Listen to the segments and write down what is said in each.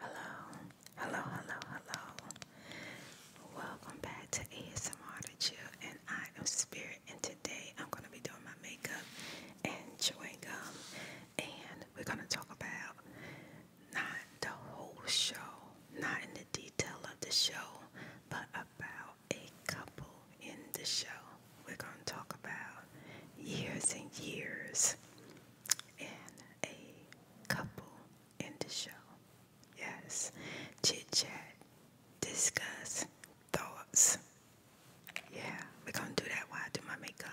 Hello, hello, hello, hello. Welcome back to ASMR to Chill, and I am Spirit. And today I'm going to be doing my makeup and chewing gum, and we're going to talk about not the whole show, not in the detail of the show, but about a couple in the show. We're going to talk about years and years and a couple in the show. Yes, chit chat, discuss thoughts. Yeah, we're gonna do that while I do my makeup.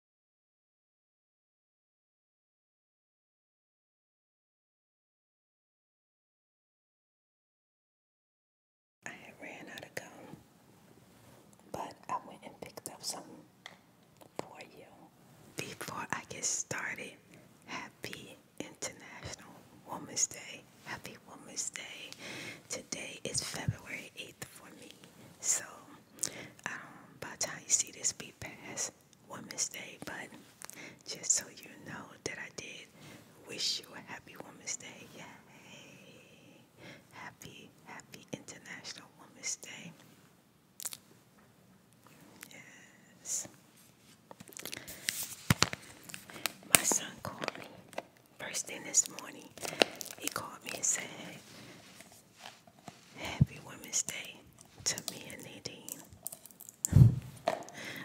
I ran out of gum, but I went and picked up some for you. Before I get started, happy International Women's Day. Happy Women's Day. Today is February 8th for me. So, um, by the time you see this be passed, Woman's Day, but just so you know that I did wish you a happy Woman's Day. Yay! Happy, happy International Women's Day. Yes. My son called me first thing this morning. He called me and said, Happy Women's Day to me and Nadine.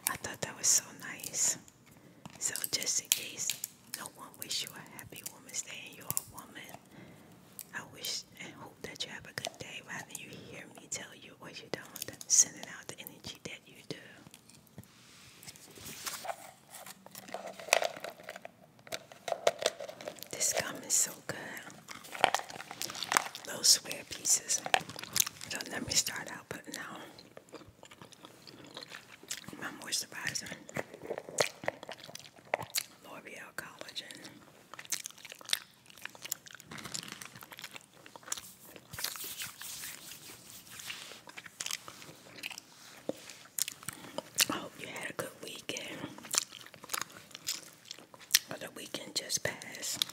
I thought that was so nice. So, just in case no one wish you a happy Women's Day and you're a woman, I wish and hope that you have a good day rather you hear me tell you or you don't, sending out the energy that you do. This gum is so good. Little square pieces. So let me start out But out my moisturizer, L'Oreal Collagen. I hope you had a good weekend of weekend just passed.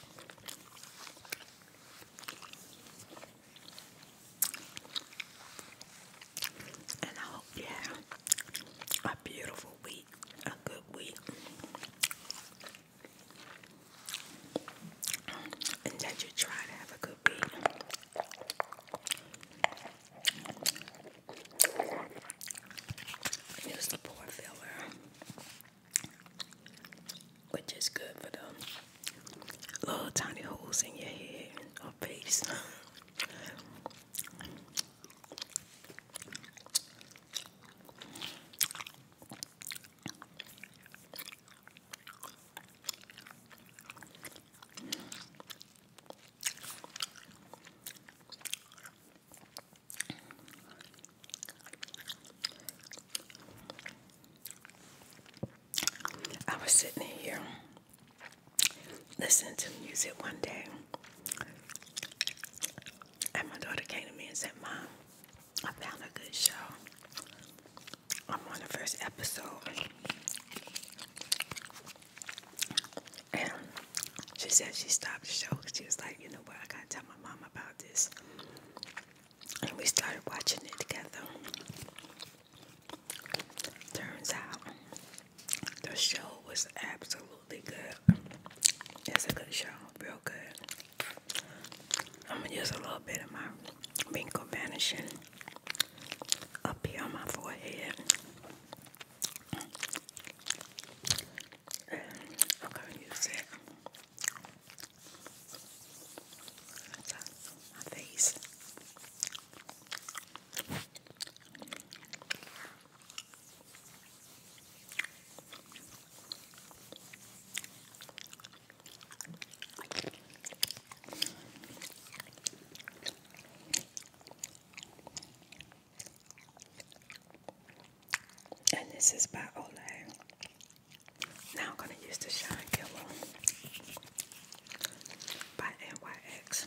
And I hope you have a beautiful week, a good week. And that you try to have a good week. Here's the poor filler which is good for the little tiny holes in your head or face. I was sitting here listening to music one day, and my daughter came to me and said, Mom, I found a good show. I'm on the first episode. And she said she stopped the show. She was like, you know what? I gotta tell mom about this, and we started watching it together. Turns out the show was absolutely good. It's a good show, real good. I'm gonna use a little bit of my wrinkle vanishing up here on my forehead. I'm gonna use it my face. And this is by Olay. Now I'm going to use the Shine Killer by NYX.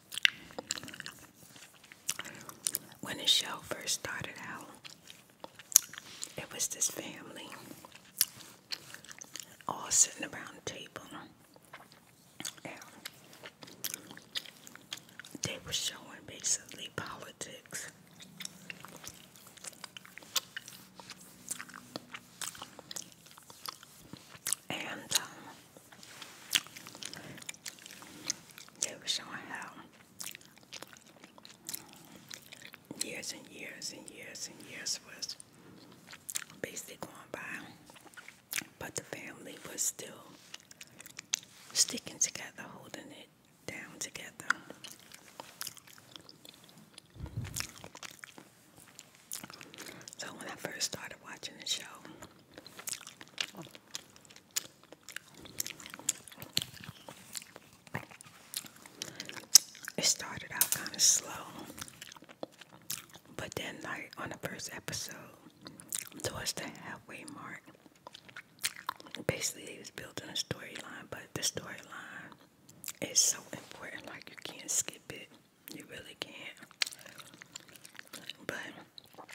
When the show first started out, it was this family all sitting around the table. And they were showing basically politics. And um, they were showing how years and years and years and years was basically going by, but the family was still sticking together, holding it down together. So when I first started watching the show, it started out kind of slow, but then, like on the first episode, towards the halfway mark, basically they was building a storyline. But the storyline is so important; like you can't skip it. You really can't. But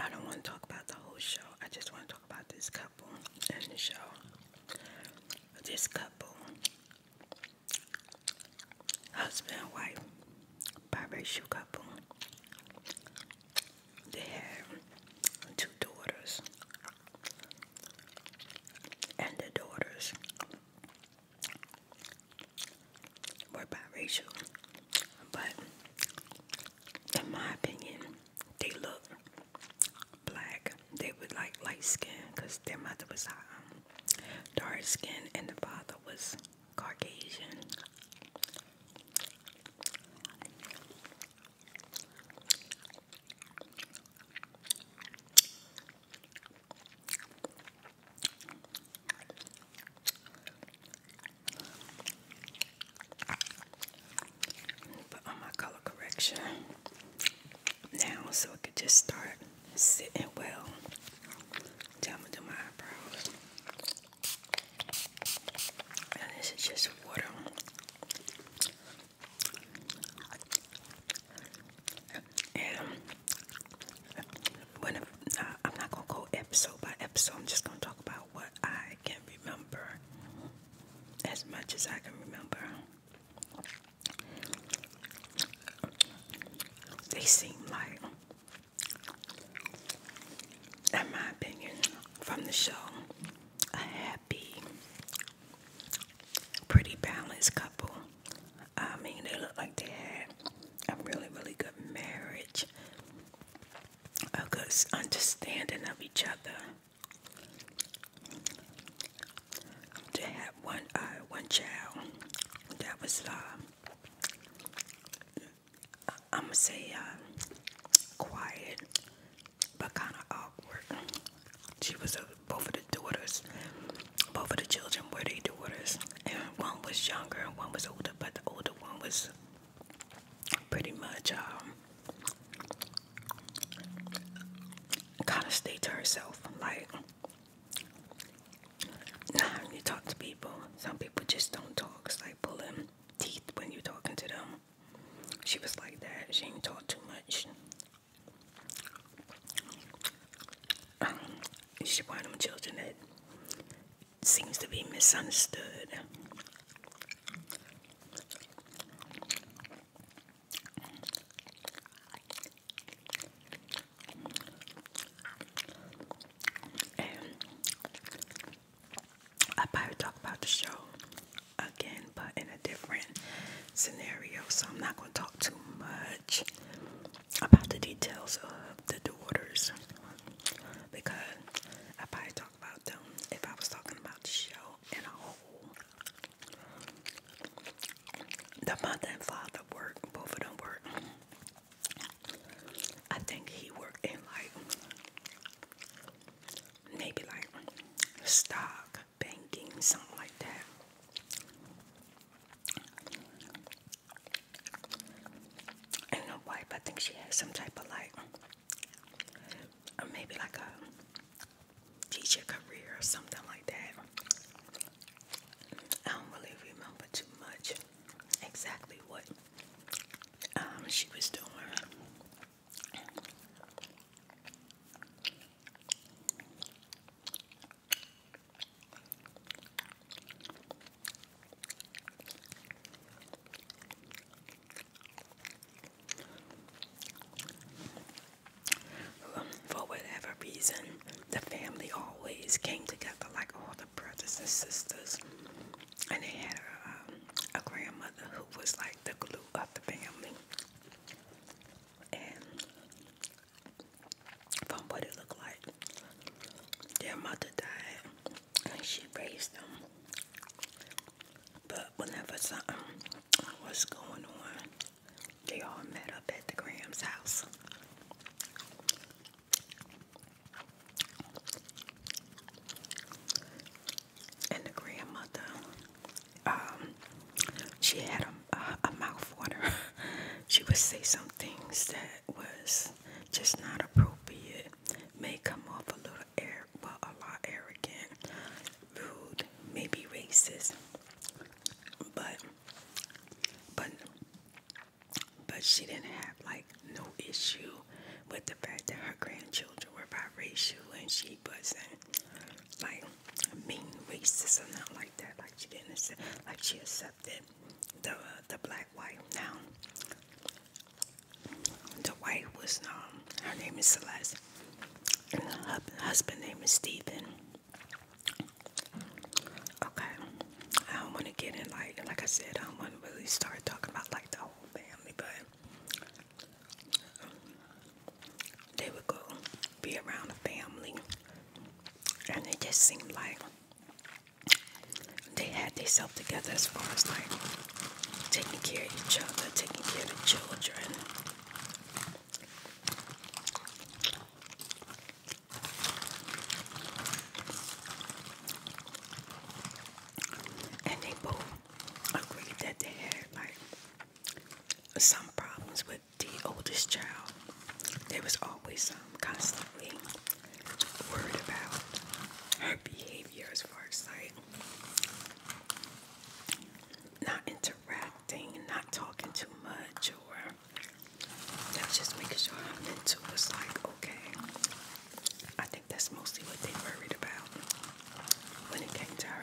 I don't want to talk about the whole show. I just want to talk about this couple and the show. This couple, husband and wife, biracial couple. They have two daughters, and the daughters were biracial, but in my opinion, they look black. They were like light skin because their mother was uh, dark skin and the father was Caucasian. Put on my color correction now so it could just start sitting well. Then to do my eyebrows. And this is just water. And I'm not gonna go episode by episode, I'm just gonna talk about what I can remember as much as I can remember. They seem like, in my opinion, from the show, a happy, pretty balanced couple. I mean, they look like they had a really, really good marriage a good understanding of each other. They had one uh, one child that was uh, i say uh, quiet but kind of awkward. She was both of the daughters, both of the children were their daughters, and one was younger and one was older, but the older one was pretty much um kind of stay to herself. Like nah, you talk to people. Some people just don't talk. It's like pulling teeth when you're talking to them. She was like that. She didn't talk too much. Um, she one them children seems to be misunderstood. And um, I probably talk about the show again, but in a different scenario, so I'm not going to talk too much about the details of the daughters because I probably talk about them if I was talking about the show in a whole. The mother and father work, both of them work. I think he worked in like maybe like stock banking, something like that. I don't know why, but I think she has some type of like or maybe like a teacher career or something like that. I don't really remember too much exactly what um, she was doing. Um, for whatever reason, the family always came together, like all the brothers and sisters. And they had um, a, grandmother who was like the glue of the family. And from what it looked like, their mother died and she raised them. But whenever something was going on, they all met up at the Graham's house. And the grandmother, um, she had a, a, a mouth she would say some things that was just not appropriate, may come off a little air, well, a lot arrogant, rude, maybe racist, but, but, but she didn't have like no issue with the fact that her grandchildren were biracial and she wasn't like mean racist or not like that. Like she didn't accept, like she accepted the the black white Now, the wife was um her name is Celeste and the husband name is Stephen. Okay, I don't want to get in like like I said I don't want to really start talking about like the whole family, but they would go be around the family, and it just seemed like they had themselves together as far as like taking care of each other, taking care of the children. And they both agreed that they had like some problems with the oldest child. There was always some um, constantly worried about her behavior as far as like not interacting, not talking too much, or that's just making sure I'm into it's like okay. I think that's mostly what they worried about when it came to her.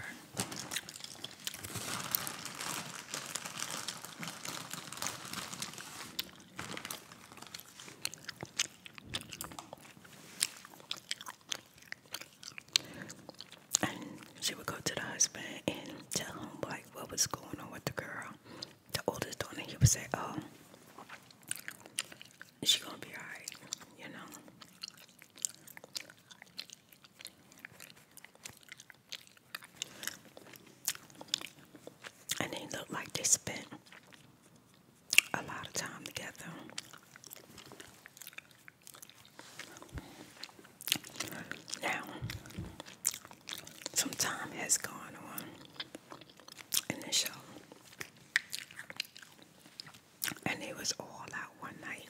And she would go to the husband and tell him like what was going on with the girl. The oldest daughter, he would say, "Oh, she gonna be alright," you know. And they looked like they spent a lot of time together. Now, some time has gone on in the show, and it was all out one night.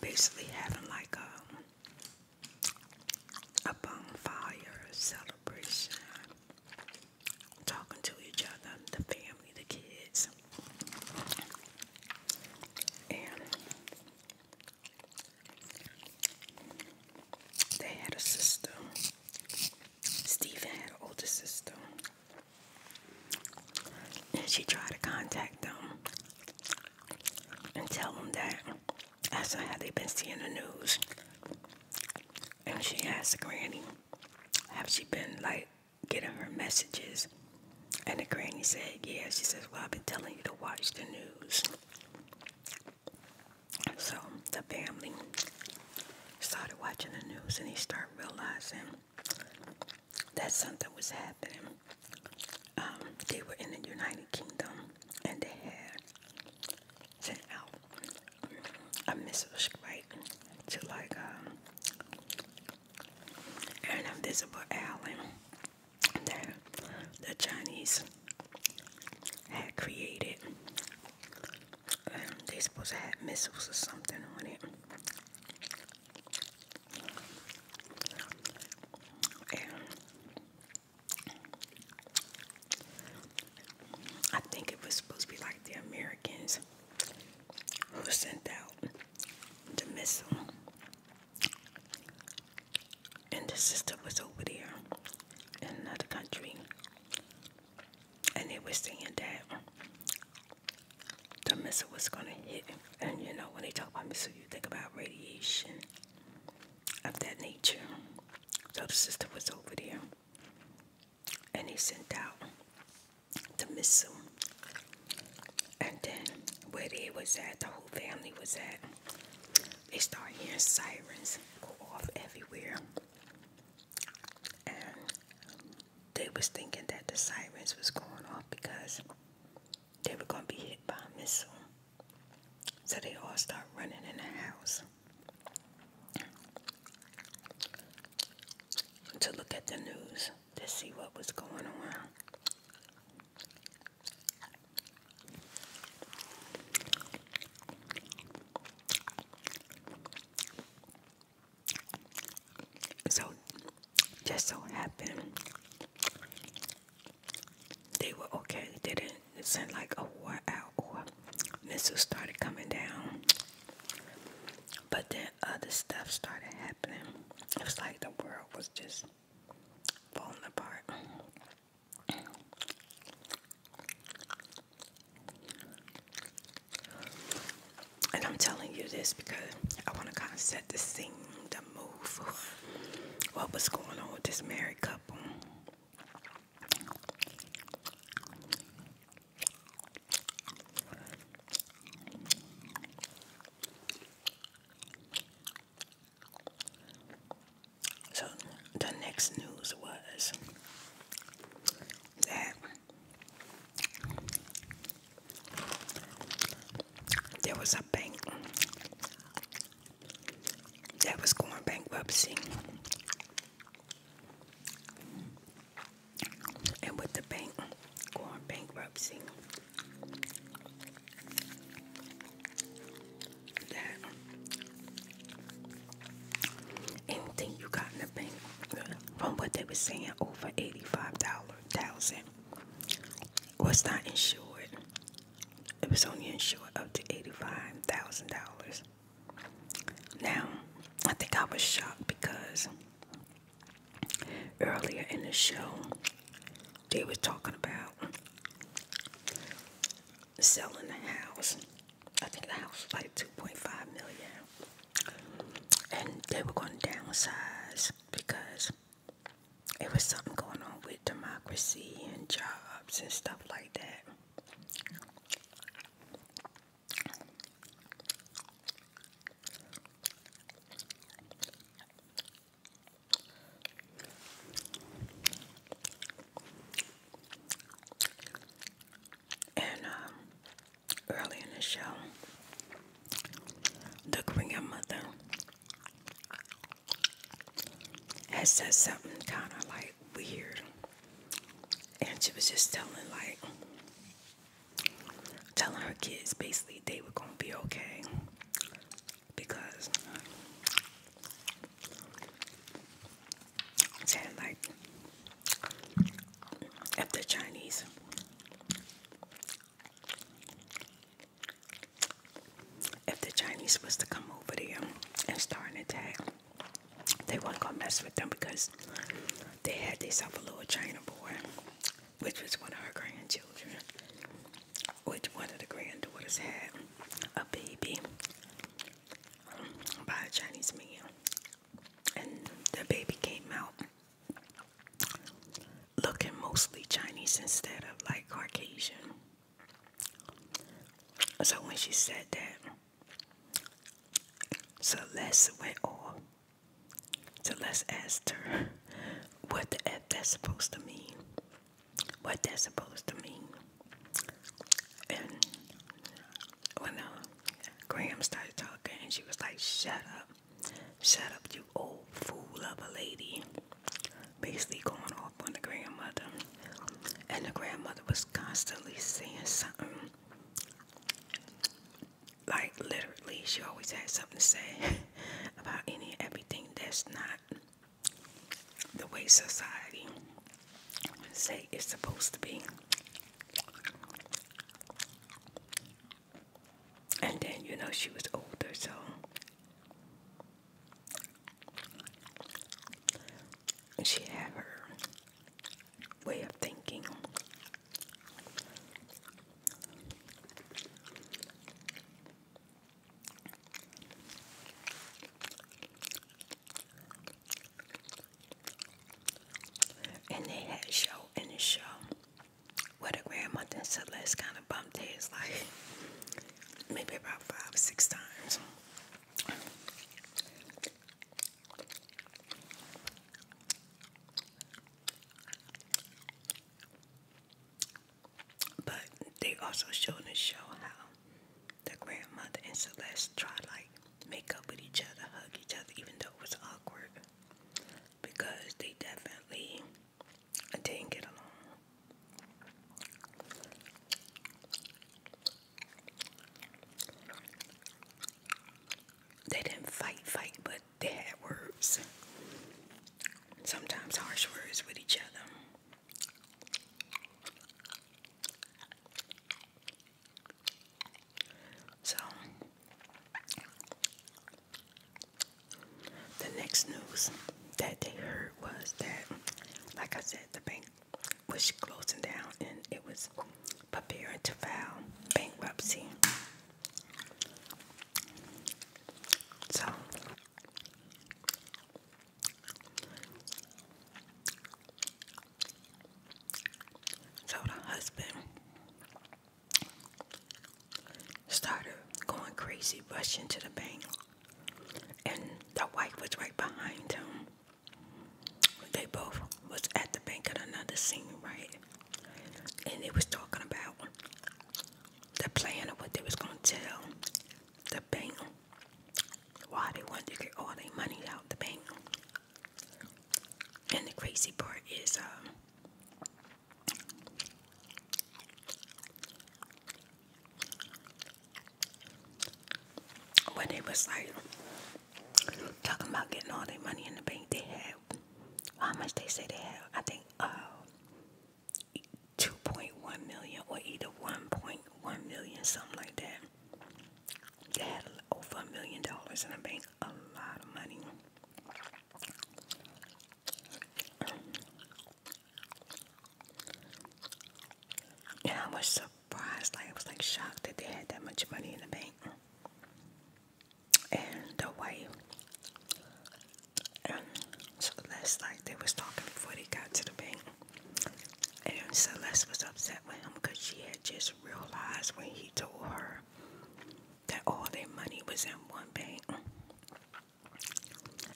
Basically, having like a a bonfire celebration talking to each other, the family, the kids. And they had a sister. Stephen had an older sister. And she tried to contact them and tell them that I saw how they've been seeing the news. And she asked the Granny, have she been like getting her messages? And the Granny said, yeah. She says, well, I've been telling you to watch the news. So the family started watching the news and they started realizing that something was happening. Um, they were in the United Kingdom and they had sent out a Sprite to like uh, an invisible island that the Chinese had created. Um, they supposed to have missiles or something on it. I think it was supposed to be like the Americans who sent out the missile. And the sister was over there in another country. And they were saying that the missile was going to hit. And you know, when they talk about missile, you think about radiation of that nature. So the sister was over there and he sent out the missile. And then where they was at, the whole family was at, they start hearing sirens go off everywhere. And they was thinking that the sirens was going off because they were gonna be hit by a missile. So they all start running in the house to look at the news to see what was going on. So, just so happened they were okay. didn't send like a war out missiles started coming down. But then other stuff started happening. It was like the world was just falling apart. And I'm telling you this because I want to kind of set the scene, to move, what was going on with this married couple. So the next news was that there was a bank that was going bankruptcy and with the bank going bankruptcy, that anything you got in the bank, from what they were saying, over eighty five thousand dollar was not insured. It was only insured up to eighty-five thousand dollars. Now, I think I was shocked because earlier in the show they were talking about selling the house. I think the house was like 2.5 million. And they were going to downsize because it was something going on with democracy and jobs and stuff like that. And um, early in the show, the grandmother had said something kind of like weird and she was just telling like telling her kids basically they were gonna be okay because saying like if the Chinese if the Chinese was to come over there and start an attack they weren't gonna mess with them because they had themselves a little China boy, which was one of her grandchildren, which one of the granddaughters had a baby by a Chinese man, and the baby came out looking mostly Chinese instead of like Caucasian. So when she said that, Celeste went off. Celeste asked her what that's supposed to mean. What that's supposed to mean. And when uh, Graham started talking, and she was like, Shut up. Shut up, you old fool of a lady. Basically going off on the grandmother. And the grandmother was constantly saying something like literally she always had something to say about any everything that's not the way society say it's supposed to be and then you know she was older so she have her way of thinking. And they had show in the show where the grandmother and Celeste kind of bumped heads like maybe about five or six times. But they also showed in the show how the grandmother and Celeste try like make up with each other, hug each other, even though it was awkward because they definitely didn't get along. They didn't fight, fight, but they had words. Sometimes harsh words with each other. So, the next news that they heard was that, like I said, the bank was closing down and it was preparing to file bankruptcy. So so the husband started going crazy, rushing to the bank, and the wife was right behind him. They both was at the bank at another scene, right? And they was talking about the plan of what they was gonna tell the bank why they wanted to get all their money out the bank. And the crazy part is um when they was like Talking about getting all their money in the bank, they had how much they say they have? I think uh, 2.1 million or either 1.1 million, something like that. They had over a million dollars in the bank, a lot of money. And I was surprised surprised, like I was like shocked that they had that much money in the bank. And the wife, and um, Celeste, like they was talking before they got to the bank, and Celeste was upset with him because she had just realized when he told her that all their money was in one bank,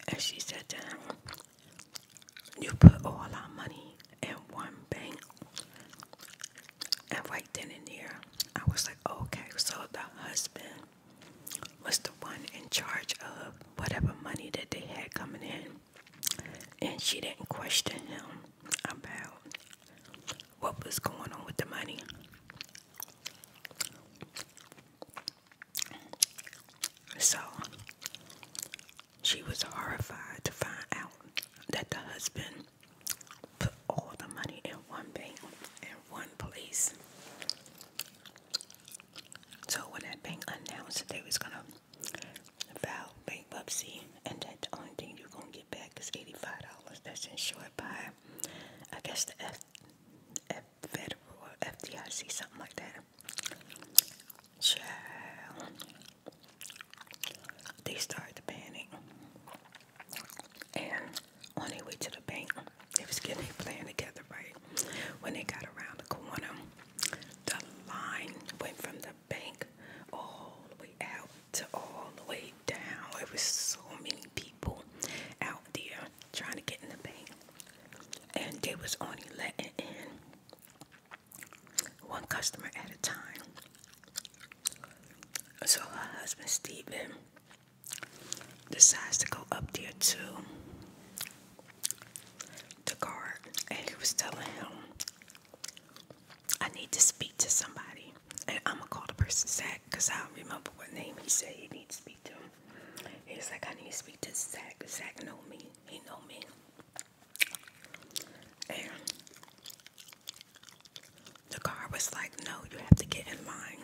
and she said to him, "You put all our money in one bank. And right then and there, I was like, oh, okay, so the husband was the one in charge of whatever money that they had coming in. And she didn't question him about what was going on with the money. So she was horrified to find out that the husband put all the money in one bank, in one place. So when that bank announced that they was gonna file bankruptcy, and that the only thing you're gonna get back is eighty-five dollars. That's insured by, I guess the F, F Federal or FDIC, something like that. Child they started panicking, And on their way to the bank, they was getting their plan together, right? When they got around the corner, the line went from the bank all the way out to all the way down. It was so many people out there trying to get in the bank. And they was only letting in one customer at a time. So her husband Stephen decides to go up there too. The guard, and he was telling him, I need to speak to somebody. And I'm gonna call the person Zach because I remember what name he said he needs to speak to. He's like, I need to speak to Zach. Zach know me. He know me. And the car was like, no, you have to get in line.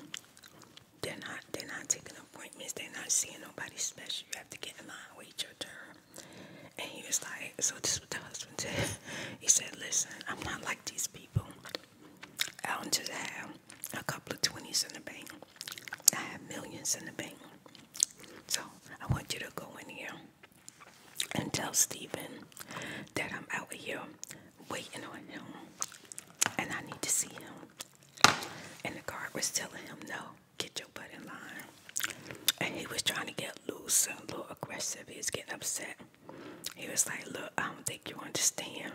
They're not they're not taking appointments, they're not seeing nobody special. You have to get in line, wait your turn. And he was like, so this was the husband He said, Listen, I'm not like these people. I don't just have a couple of twenties in the bank. I have millions in the bank. So I want you to go in here and tell Stephen that I'm out here waiting on him and I need to see him. And the guard was telling him, No, get your butt in line. And he was trying to get loose and a little aggressive. He was getting upset. He was like, Look, I don't think you understand.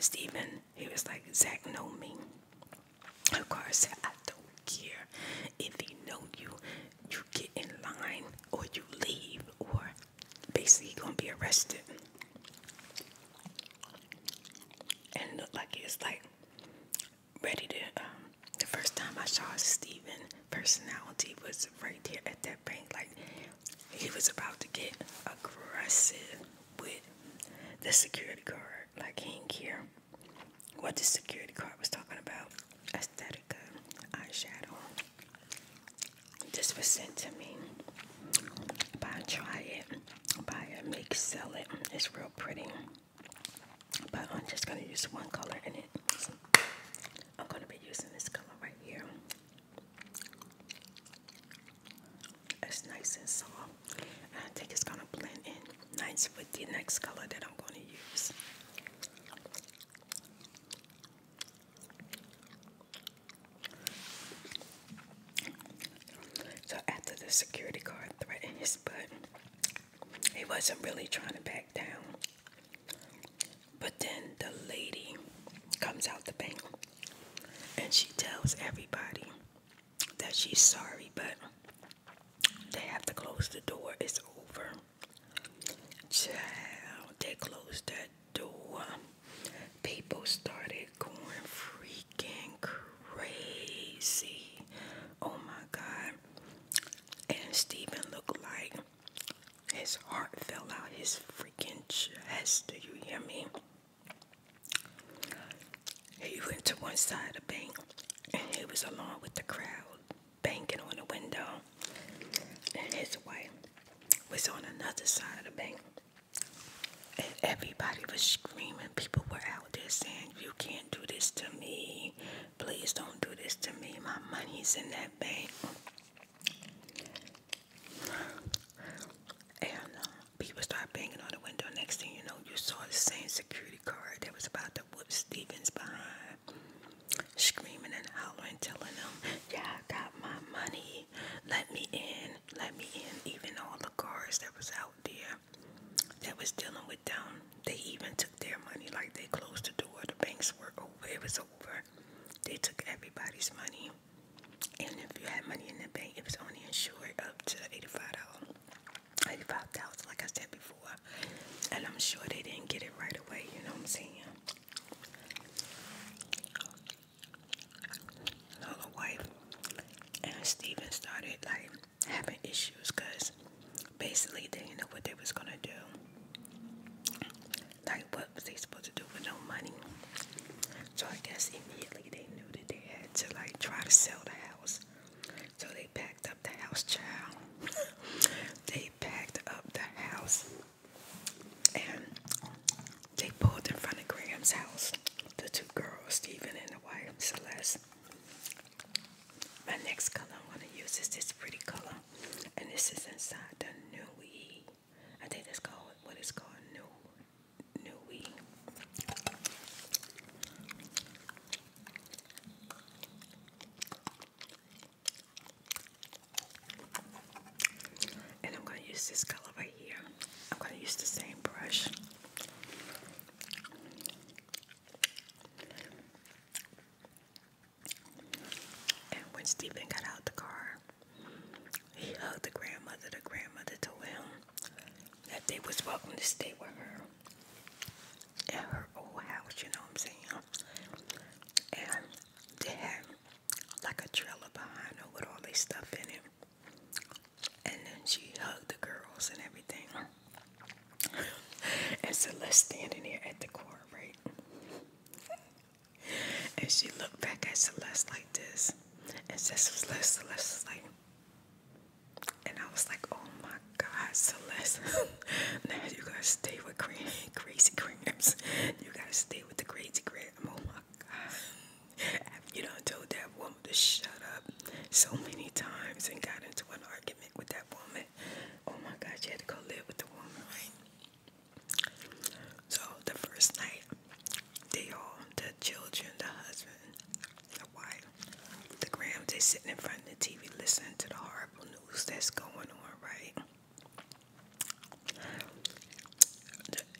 Stephen, he was like, Zach know me. The guard said, I don't care if he know you you get in line or you leave or basically you're gonna be arrested and look like he was like ready to um, the first time I saw Steven personality was right there at that bank like he was about to get aggressive with the security guard like he didn't care what the security guard was talking about aesthetica eyeshadow this was sent to me by Try It, by a Make Sell It. It's real pretty, but I'm just going to use one color in it. I'm going to be using this color right here. It's nice and soft. I think it's going to blend in nice with the next color that I'm going to use. So after the security guard threatened his butt, he wasn't really trying to back down. But then the lady comes out the bank and she tells everybody that she's sorry, but they have to close the door. It's over. Child, they closed that door. People started going freaking crazy. Oh my God. And Stephen looked like his heart fell out his freaking chest. Do you hear me? He went to one side of the bank and he was along with the crowd banking on the window. And his wife was on another side of the bank. And everybody was screaming. People were out there saying, You can't do this to me. Please don't do this to me. My money's in that bank. And uh, people start banging on the window. Next thing you know, you saw the same security guard that was about to whoop Stevens behind screaming and hollering, telling them, "Yeah, I got my money. Let me in. Let me in." Even all the guards that was out there, that was dealing with them, they even took their money. Like they closed the door. The banks were over. It was over. They took everybody's money. And if you had money in the bank, it was only insured up to eighty-five dollars. $85,000, like I said before, and I'm sure they didn't get it right away, you know what I'm saying? Another wife and Steven started like having issues because basically they didn't know what they was gonna do. Like what was they supposed to do with no money? So I guess immediately they knew that they had to like try to sell the house. So they packed up the house, child. they packed up the house and they pulled in front of Graham's house. The two girls, Stephen and the wife Celeste. My next color I'm gonna use is this pretty color, and this is inside the Nui. I think it's called what is called New Nui. And I'm going to use this color right here. I'm going to use the same brush. And when Stephen got out the car, he hugged the grandmother. The grandmother told him that they was welcome to stay with her at her old house, you know what I'm saying? And they had like a trailer behind her with all their stuff in it. And then she hugged the girls and everything. and so let standing here at the court, right? and she looked back at Celeste like this. And said, Celeste, Celeste was like, and I was like, oh my God, Celeste. now you gotta stay with Green, Crazy Green. You gotta stay with the crazy grandma. Oh my god. You know I told that woman to shut up so many times and got into an argument with that woman. Oh my god, you had to go live with the woman, right? So the first night, they all, the children, the husband, the wife, the grams, they sitting in front of the TV listening to the horrible news that's going on, right?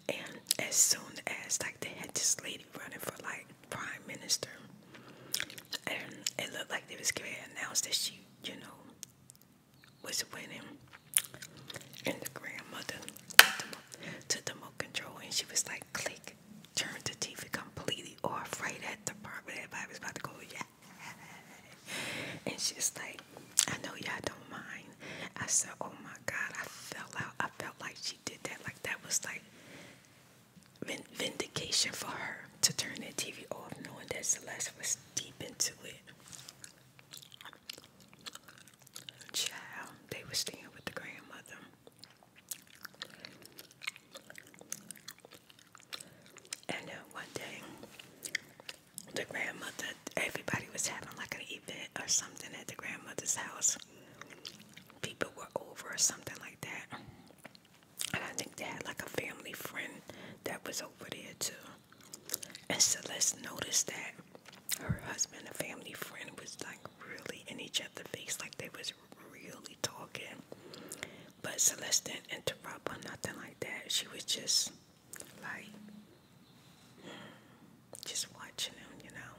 And as soon as like they had this lady running for like prime minister, and it looked like they was gonna announce that she, you know, was winning, and the grandmother took the remote control and she was like, click, turn the TV completely off right at the part where everybody was about to go and she's like, I know y'all don't mind. I said, Oh my God, I fell out. I felt like she did that. Like that was like vindication for her to turn that TV off, knowing that Celeste was deep into it. Child, they were staying with the grandmother. And then one day, the grandmother, everybody was having like an event or something at the grandmother's house. People were over or something like that. And I think they had like a family friend that was over there too. And Celeste noticed that her husband and family friend was like really in each other's face, like they was really talking. But Celeste didn't interrupt or nothing like that. She was just like just watching him, you know.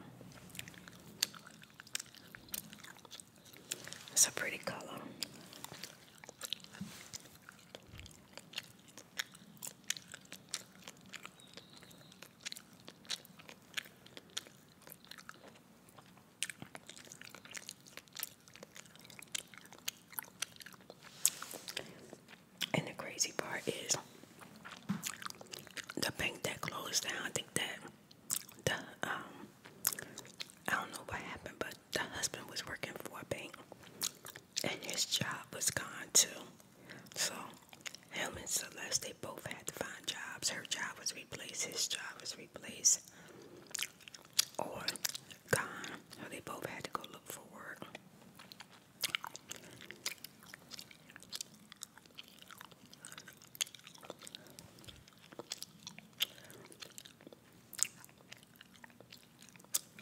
It's a pretty color. And the crazy part is the bank that closed down, I think that the um I don't know what happened, but the husband was working for a bank and his job was gone too. So him and Celeste they both had to find jobs. Her job was replaced, his job was replaced. Or gone. So they both had to go look for work.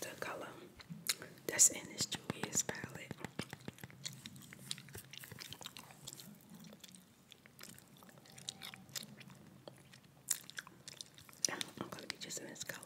The color that's in this Julius palette. I'm gonna be just this color.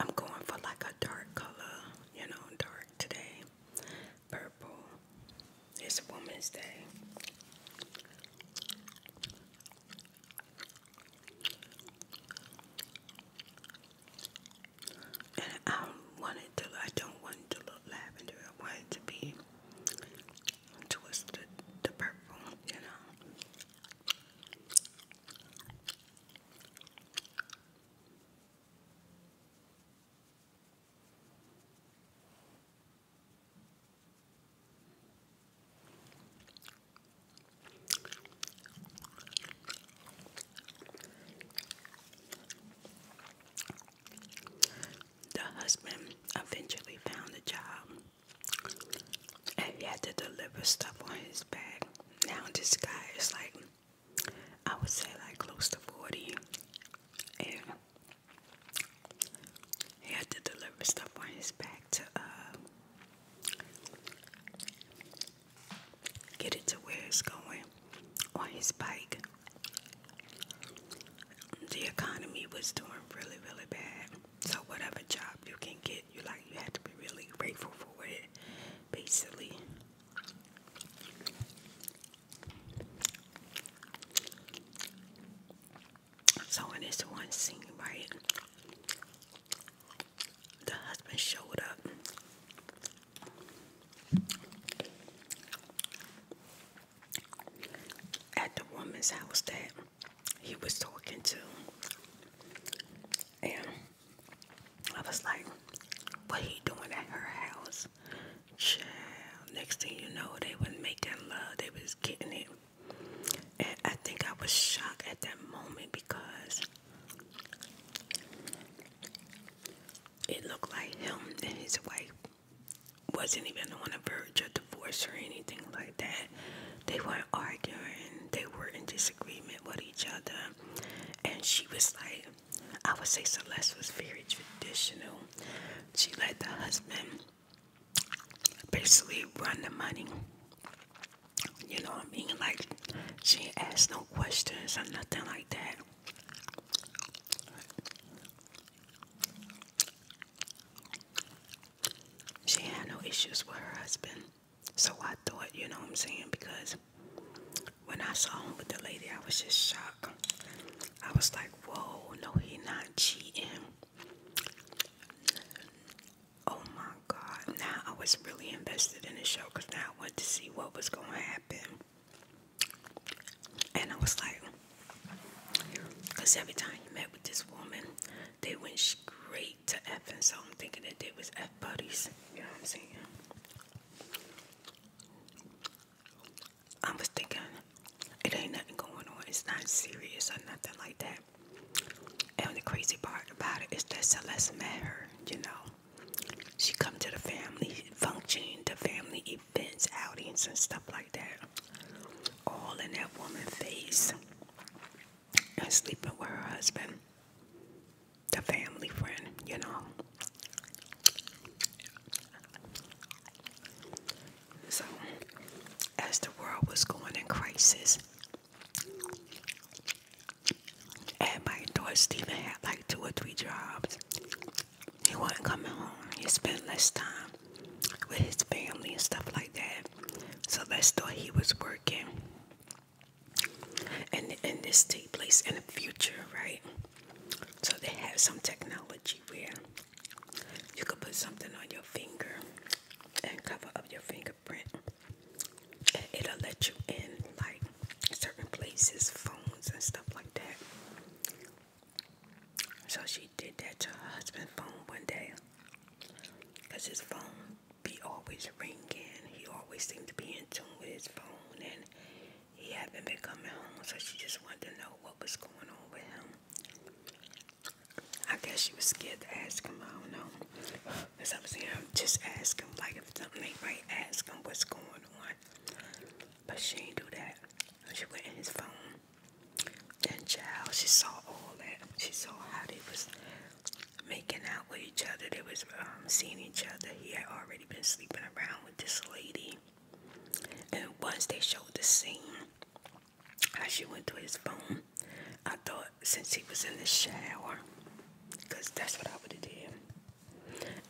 I'm going for like a dark color, you know, dark today. Purple. It's Woman's Day. And I want to, I don't want to look lavender. I want it to be twisted to purple, you know. The husband eventually found a job and he had to deliver stuff on his back. Now this guy is like I would say like close to 40 and he had to deliver stuff on his back to uh, get it to where it's going on his bike. The economy was doing really, really bad. So whatever job you can get, you like you have to be really grateful for it, basically. So in this one scene, right, the husband showed up. At the woman's house that he was talking to, and I was like, "What he doing at her house?" Next thing you know, they was making love. They was getting it. And I think I was shocked at that moment because it looked like him and his wife wasn't even on the verge of divorce or anything like that. They weren't arguing, they were in disagreement with each other. And she was like, I would say Celeste was very traditional. She let the husband basically run the money. You know what I mean? Like, she asked no questions or nothing like that. She had no issues with her husband. So I thought, you know what I'm saying? Because when I saw him with the lady, I was just shocked. I was like, whoa, no, he not cheating. Oh my god. Now I was really invested in the show because now I wanted to see what was going to happen. And I was like, because every time you met with this woman, they went straight to F. And so I'm thinking that they was F buddies. You know what I'm saying? I was thinking, it ain't nothing going on. It's not serious or nothing like that. And the crazy part about it is that Celeste met her, you know. She come to the family function, the family events, outings and stuff like that. All in that woman' face. And sleeping with her husband. The family friend, you know. So, as the world was going in crisis, at my door, Stephen had like two or three jobs. He wasn't coming home. He spent less time with his family and stuff like that. So that's why he was working. And and this take place in the future, right? So they have some technology where you could put something on your finger and cover up your fingerprint and it'll let you in like certain places, phones and stuff like that. So she did that to her husband's phone one day, cause his phone be always ringing. He always seemed to be in tune with his phone, and he hadn't been coming home. So she just wanted to know what was going on with him. I guess she was scared to ask him. I don't know. I was saying, just asking, Like if something ain't right, ask him what's going on. But she ain't do that. She went in his phone. And child, she saw all that. She saw how they was making out with each other. They was um, seeing each other. He had already been sleeping around with this lady. And once they showed the scene, as she went to his phone. I thought since he was in the shower, because that's what I would have did.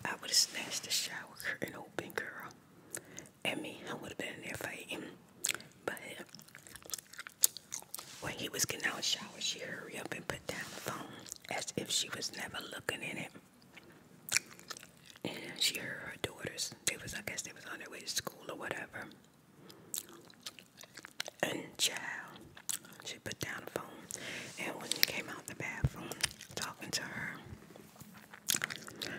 I would have snatched the shower curtain open, girl. And me, I would have been in there fighting. But when he was getting out of shower, she hurry up and put down the phone as if she was never looking in it. And she heard her daughters. They was, I guess, they was on their way to school or whatever. And child, she put down the phone. And when he came out the bathroom talking to her,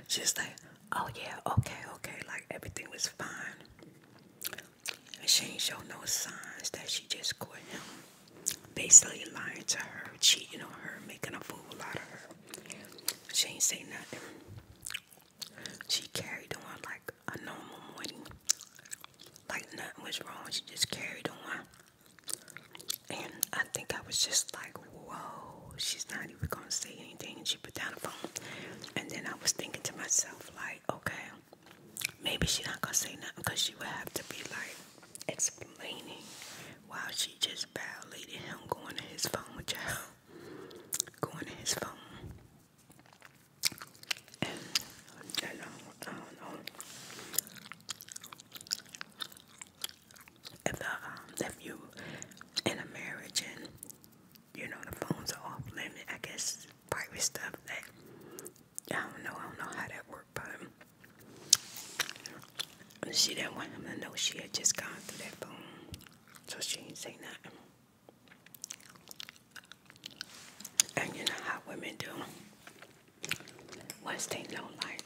she's like, Oh, yeah, okay, okay. Like everything was fine. And she ain't show no signs that she just caught him. Basically lying to her, cheating on her, making a fool out of her. She ain't say nothing she carried on like a normal morning. Like nothing was wrong. She just carried on. And I think I was just like, whoa, she's not even going to say anything. And she put down the phone. And then I was thinking to myself, like, okay, maybe she's not going to say nothing because she would have to be like explaining while she just violated him going to his phone, child. Going to his phone. I don't, I don't know if the um, if you in a marriage and you know the phones are off limit, I guess private stuff that I don't know, I don't know how that worked, but she didn't want him to know she had just gone through that phone, so she didn't say nothing. And you know how women do. Once they know, like,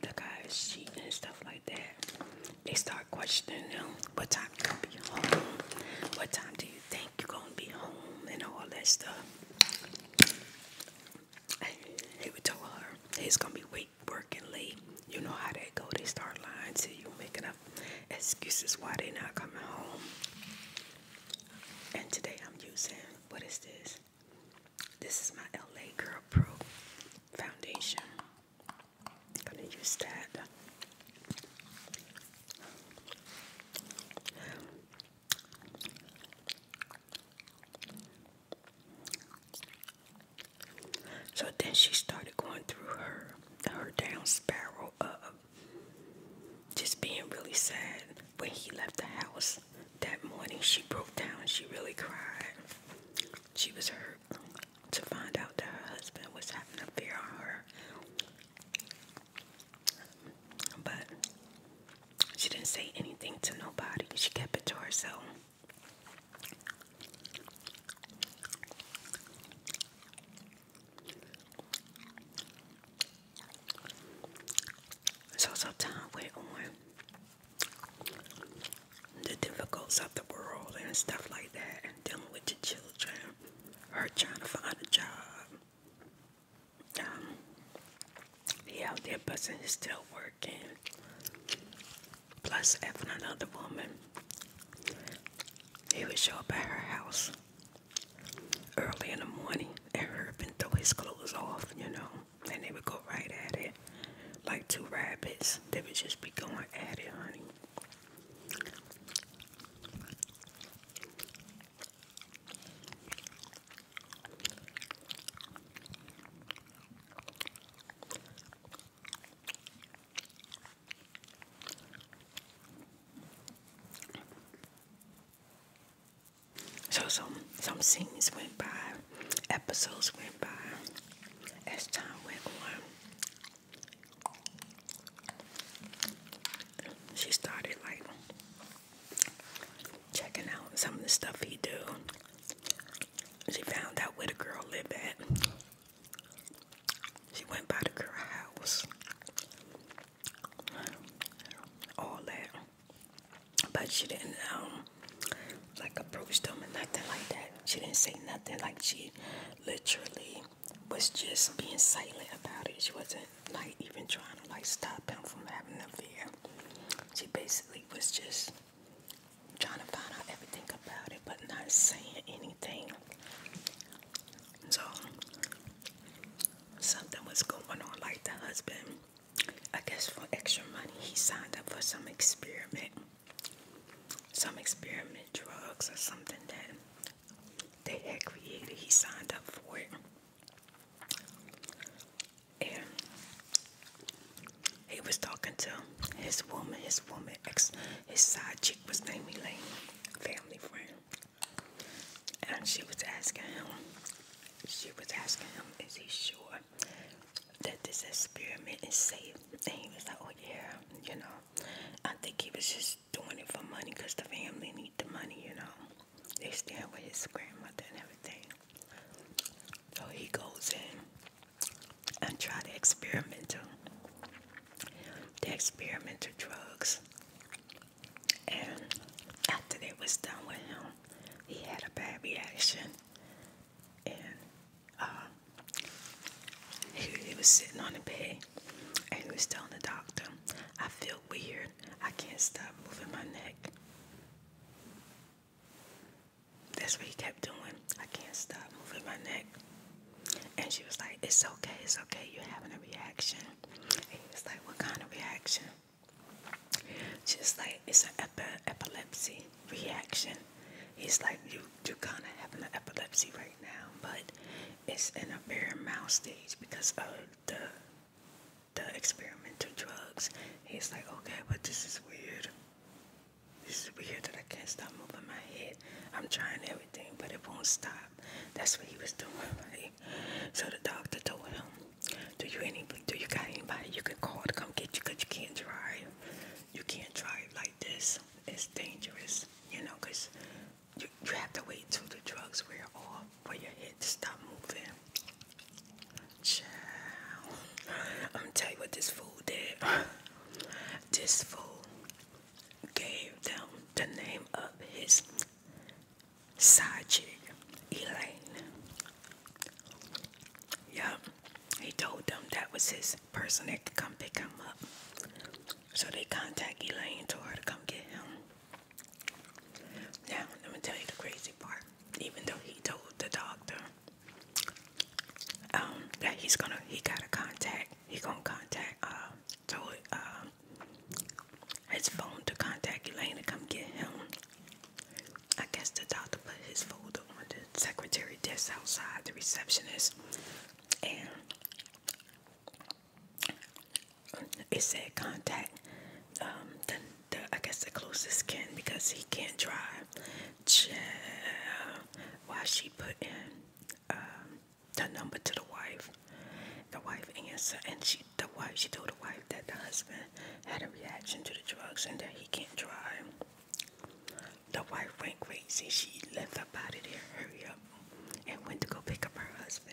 the guy's cheating and stuff like that, they start questioning them. What time you gonna be home? What time do you think you're gonna be home? And all that stuff. And he would tell her, it's gonna be wait, working late. You know how they go. They start lying to you, making up excuses why they not coming home. And today I'm using, what is this? This is my LA Girl Pro foundation. gonna use that. So then she started going through her her down spiral just being really sad when he left the house that morning, she broke down. She really cried. She was hurt to find out that her husband was having a affair on her. But she didn't say anything to nobody. She kept it to herself. So sometimes we're on the difficulties of the world and stuff like that, and dealing with the children, her trying to find a job. Um, the he out there busting is still working. Plus, having another woman, he would show up at her house early in the morning and Herb and throw his clothes off, you know, and they would go right at it. Like two rabbits, they would just be going at it, honey. So some some scenes went by, episodes went by as time went on. She started like checking out some of the stuff he do. She found out where the girl lived at. She went by the girl house all that. But she didn't um like approach them and nothing like that. She didn't say nothing. Like she literally was just being silent about it. She wasn't like even trying to like stop him from having an fear. She basically was just trying to find out everything about it, but not saying anything. So something was going on like the husband I guess for extra money he signed up for some experiment some experiment drugs or something that they had created he signed up for it and he was talking to his woman his woman ex his side chick was named Elaine family friend and she was asking him, she was asking him, is he sure that this experiment is safe? And he was like, oh yeah, you know. I think he was just doing it for money because the family need the money, you know. They stand with his grandmother and everything. So he goes in and try the experimental, the experimental drugs. And after they was done with him, he had a bad reaction. And um, he was sitting on the bed and he was telling the doctor, I feel weird. I can't stop moving my neck. That's what he kept doing. I can't stop moving my neck. And she was like, It's okay, it's okay, you're having a reaction. He like, What kind of reaction? Just like it's an epilepsy reaction. He's like, You you kinda having an epilepsy right now, but it's in a very mild stage because of the the experiment to drugs. He's like, Okay, but this is weird. This is weird that I can't stop moving my head. I'm trying everything, but it won't stop. That's what he was doing, So the doctor told him, "Do you any? Do you got anybody you can call to come get you? Cause you can't drive. You can't drive like this. It's dangerous, you know. Cause you, you have to wait till the drugs wear off for your head to stop moving." Child, I'm tell you what this fool did. This fool gave them the name of his side Elaine. Yup, he told them that was his person that could come pick him up. So they contact Elaine, to her to come get him. Now, let me tell you the crazy part. Even though he told the doctor um, that he's gonna, he gotta contact, he gonna contact, uh, told, um, his phone to contact Elaine to come get him. I guess the doctor put his folder on the secretary desk outside the receptionist, and it said contact um, the, the I guess the closest kin because he can't drive. Child. Why she put in um, the number to the wife? The wife answered, and she the wife, she told the wife that the husband had a reaction to the drugs and that he can't drive. The wife went crazy. She left her body there, hurry up, and went to go pick up her husband.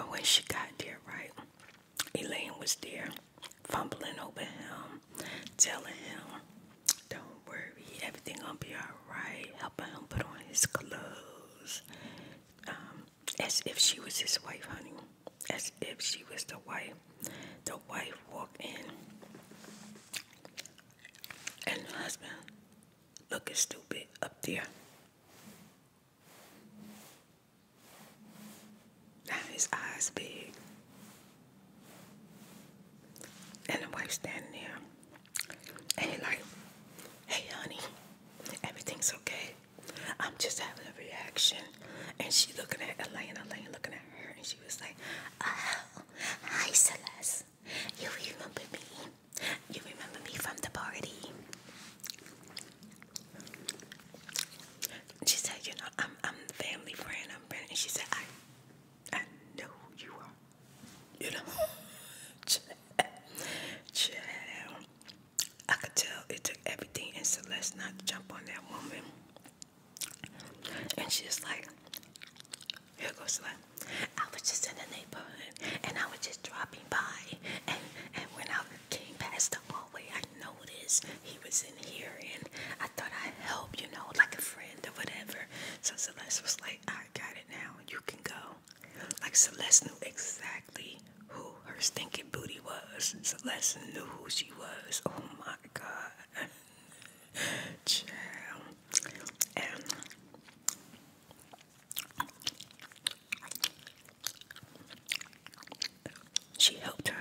Oh, and she got there right. Elaine was there, fumbling over him, telling him, Don't worry, everything gonna be alright, helping him put on his clothes. Um, as if she was his wife, honey. As if she was the wife. The wife walked in and the husband looking stupid up there. his eyes big. And the wife standing there. And he like, hey honey, everything's okay. I'm just having a reaction. And she looking at Elaine, Elaine looking at her, and she was like, Oh, hi Celeste. You remember me. You remember me from the party. She said, you know, I'm I'm family friend, I'm friend. And she said, I I know who you are. You know. Child. I could tell it took everything in Celeste not to jump on that woman. And she's like, here goes Celeste. I was just in the neighborhood and I was just dropping by and and when I came past the hallway I know." he was in here and I thought I'd help, you know, like a friend or whatever. So Celeste was like, I got it now, you can go. Like Celeste knew exactly who her stinking booty was. Celeste knew who she was. Oh my god. Child. And she helped her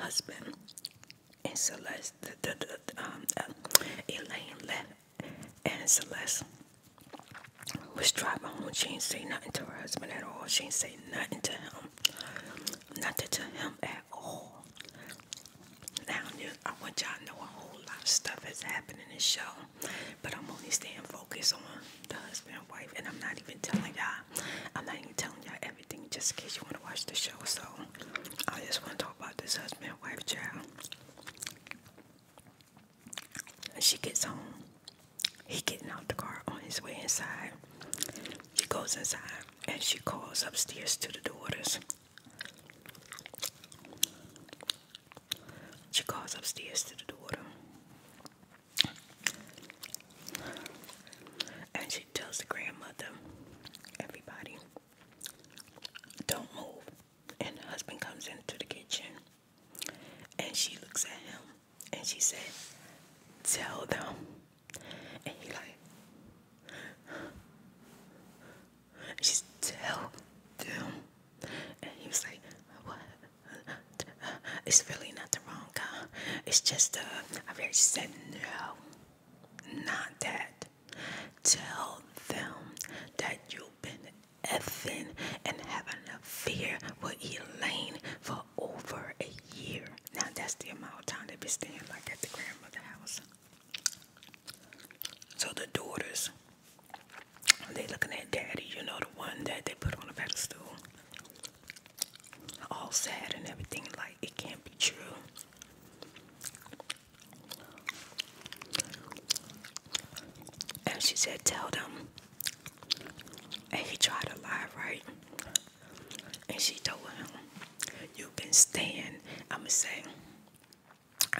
husband and Celeste, the, the, um, uh, Elaine left and Celeste was driving home. She ain't say nothing to her husband at all. She ain't say nothing to him. Nothing to him at all. Now, I want y'all to know a whole lot of stuff has happened in this show, but I'm only staying focused on the husband wife, and I'm not even telling y'all I'm not even telling y'all everything just in case you want to watch the show. So I just want to talk about this husband, wife, child. She gets home. He getting out the car on his way inside. He goes inside and she calls upstairs to the daughters. She calls upstairs to the daughter. And she tells the grandmother, everybody, don't move. And the husband comes into the kitchen and she looks at him and she said, Tell them. And he like she's tell them. And he was like, What? It's really not the wrong. It's just a, I very said no, not that. Tell them that you've been effing and having a fear with Elaine for over a year. Now that's the amount of time they have been staying like at the grandmother's house. So the daughters, they looking at daddy, you know, the one that they put on a pedestal all sad and everything, like it can't be true. And she said, Tell them. And he tried to lie, right? And she told him, You've been staying, I'ma say,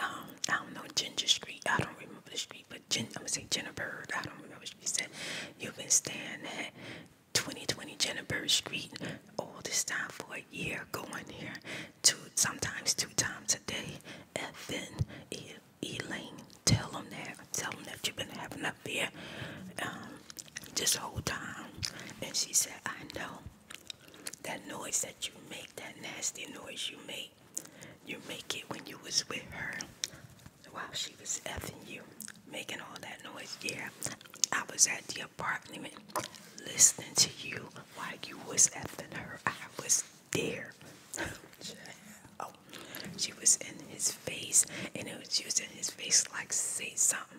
um, I don't know, Ginger Street. I don't remember the street, but Gen I'ma say Jennifer. I don't remember what she said. You've been staying at 2020 Jennifer Street all this time for a year going here two sometimes two times a day and then e Elaine tell them that tell them that you've been having up there um this whole time and she said I know that noise that you make that nasty noise you make you make it when you was with her while she was effing you making all that noise. Yeah, I was at the apartment listening to you while you was effing her. I was there. oh, she was in his face, and it was, using his face like, say something.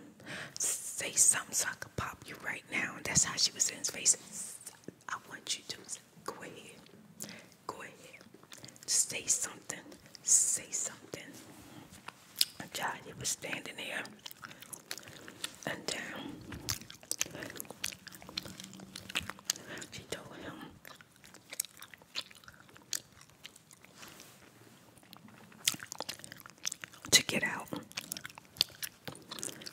Say something so I could pop you right now. And that's how she was in his face. I want you to go ahead. Go ahead. Say something. Say something. Johnny was standing there and um, she told him to get out,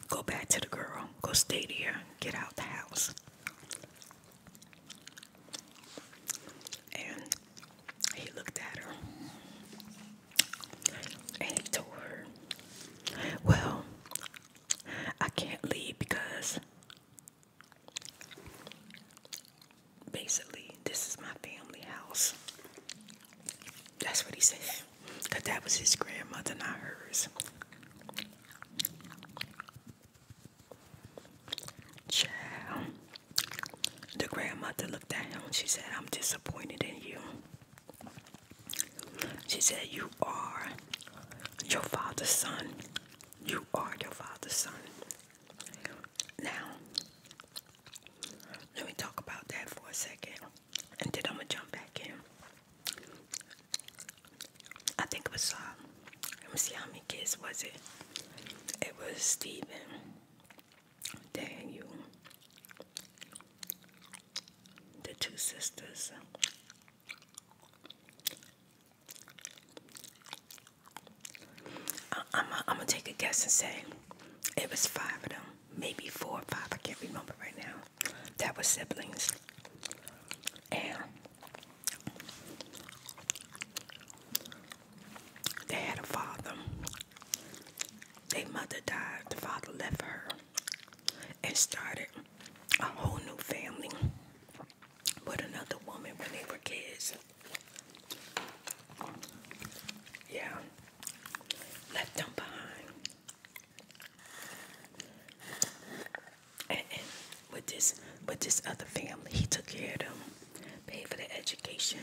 go back to the girl, go stay there, get out the house. And he looked at her and he told her, Well, I can't leave because basically this is my family house. That's what he said. Because that was his grandmother, not hers. Child. The grandmother looked at him. She said, I'm disappointed in you. She said, You are your father's son. You are your father's son. Now, let me talk about that for a second. And then I'm going to jump back in. I think it was, uh, let me see how many kids was it? It was Stephen. Dang The two sisters. I, I'm gonna take a guess and say it was five of them, maybe four or five. I can't remember right now. That was siblings, and they had a father. Their mother died, the father left her and started a whole new family with another woman when they were kids. Yeah, left them behind. And, with this with this other family, he took care of them, paid for their education,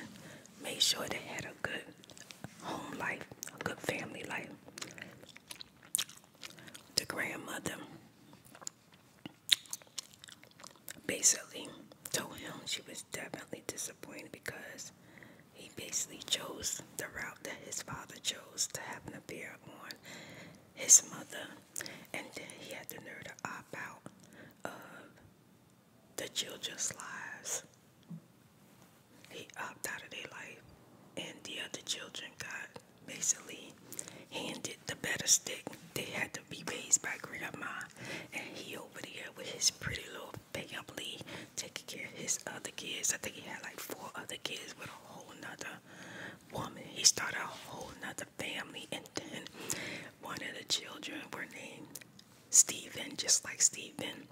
made sure they had a good home life, a good family life. The grandmother basically told him she was definitely disappointed because he basically chose the route that his father chose to have an affair on his mother, and then he had the nerve to opt out of the children's lives. He opted out of their life, and the other children got basically handed the better stick. They had to be raised by grandma, and he over there with his pretty little family taking care of his other kids. I think he had like four other kids with a whole other woman. He started a whole nother family, and then one of the children were named Stephen, just like Stephen.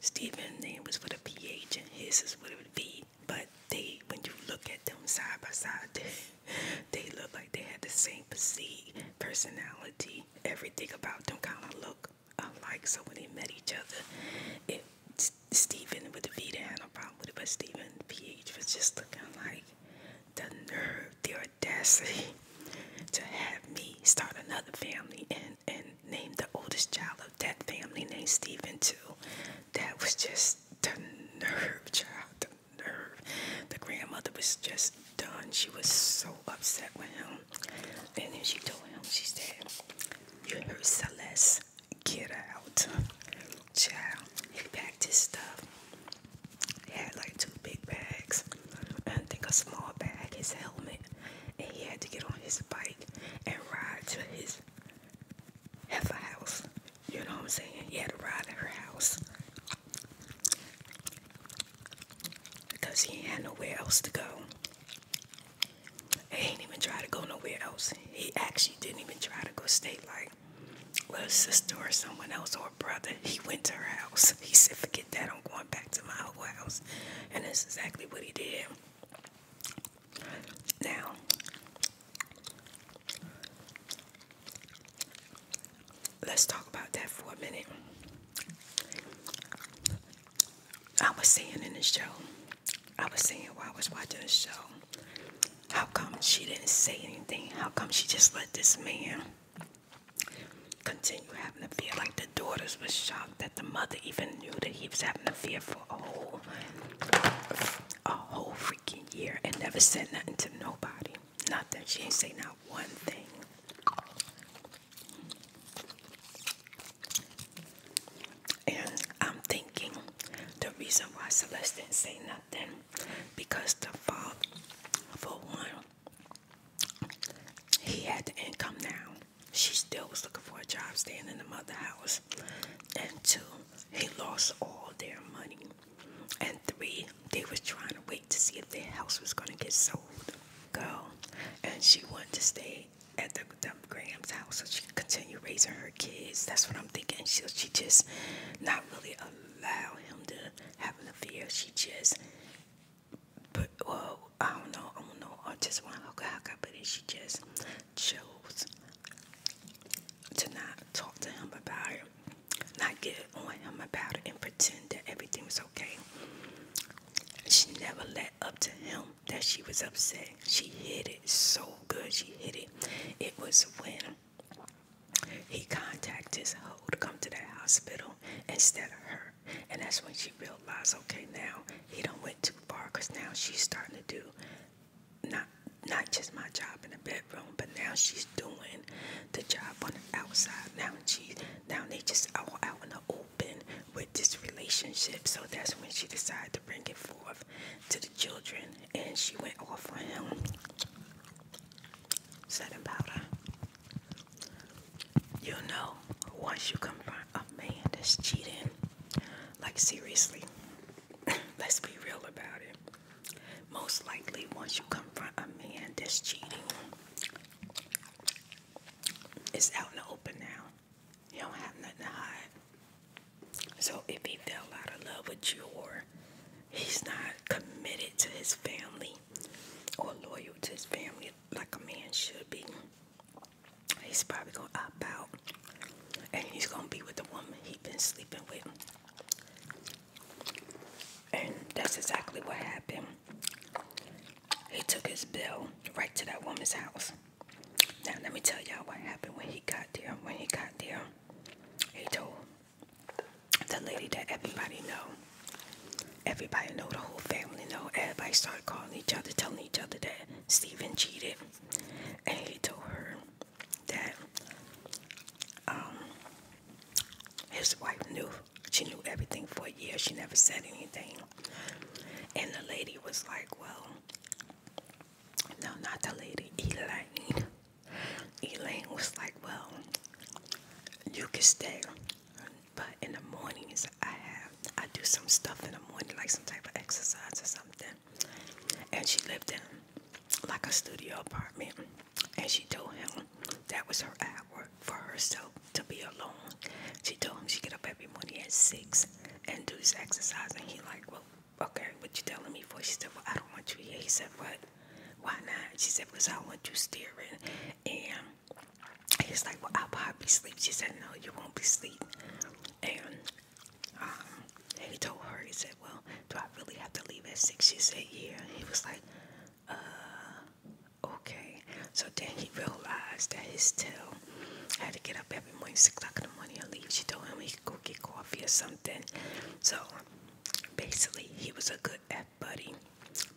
Stephen's name was with a PH and his is with a V. But they, when you look at them side by side, they, look like they had the same physique, personality, everything about them kind of look alike. So when they met each other, it Stephen with the V, and had no problem with it. But Stephen PH was just looking like the nerve, their audacity to have me start another family and and name the oldest child of that family named Stephen too. That was just the nerve, child, the nerve. The grandmother was just done. She was so upset with him. And then she told him, she said, You heard Celeste, get out. Child, he packed his stuff. He had like two big bags. And take a small bag, his helmet, and he had to get on his bike and ride to his heifer house. You know what I'm saying? He had to ride to her house because he ain't had nowhere else to go. He ain't even try to go nowhere else. He actually didn't even try to go stay like with a sister or someone else or a brother. He went to her house. He said, forget that. I'm going back to my old house. And that's exactly what he did. Now, let's talk about that for a minute. I was saying in the show, I was saying while I was watching the show, how come she didn't say anything? How come she just let this man Continue having a fear like the daughters were shocked that the mother even knew that he was having a fear for a whole a whole freaking year and never said nothing to nobody. Nothing. She ain't say not one thing. And I'm thinking the reason why Celeste didn't say nothing because the father for one he had the income now. She still was looking for a job staying in the mother house. And two, he lost all their money. And three, they was trying to wait to see if their house was gonna get sold. Girl. And she wanted to stay at the, Graham's house so she could continue raising her kids. That's what I'm thinking. She she just not really allow him to have an fear. She just but well, I don't know, I don't know, I just want to look at her, but then she just chose to not talk to him about it, not get on him about it, and pretend that everything was okay. She never let up to him that she was upset. She hit it so good. She hit it. It was when he contacted his hoe to come to the hospital instead of her. And that's when she realized, okay, now he don't went too far because now she's starting to do not not just my job in the bedroom, but now she's doing the job on the outside. Now she now they just all out in the open with this relationship. So that's when she decided to bring it forth to the children and she went off on him. Setting powder. You know, once you confront a man that's cheating, like seriously, let's be real about it. Most likely, once you confront a man that's cheating, it's out in the open now. You don't have nothing to hide. So if he fell out of love with you or he's not committed to his family or loyal to his family like a man should be. He's probably gonna opt out and he's gonna be with the woman he's been sleeping with. And that's exactly what happened. He took his bill right to that woman's house. Now let me tell y'all what happened when he got there. When he got there, he told the lady that everybody know Everybody know, the whole family know. Everybody started calling each other, telling each other that Stephen cheated. And he told her that um, his wife knew. She knew everything for a year. She never said anything. And the lady was like, well, no, not the lady, Elaine. Elaine was like, well, you can stay. But in the mornings, I have I do some stuff in the morning, like some type of exercise or something. And she lived in like a studio apartment, and she told him that was her hour for herself to be alone. She told him she get up every morning at six and do this exercise, and he like, well, okay, what you telling me for? She said, well, I don't want you here. He said, what? Why not? She said, because I want you staring and He's like, well, I'll probably sleep. She said, no, you won't be sleep. Um, and he told her, he said, well, do I really have to leave at six? She said, yeah. He was like, uh, okay. So then he realized that his tail had to get up every morning, six o'clock in the morning, and leave. She told him he could go get coffee or something. So basically, he was a good F buddy.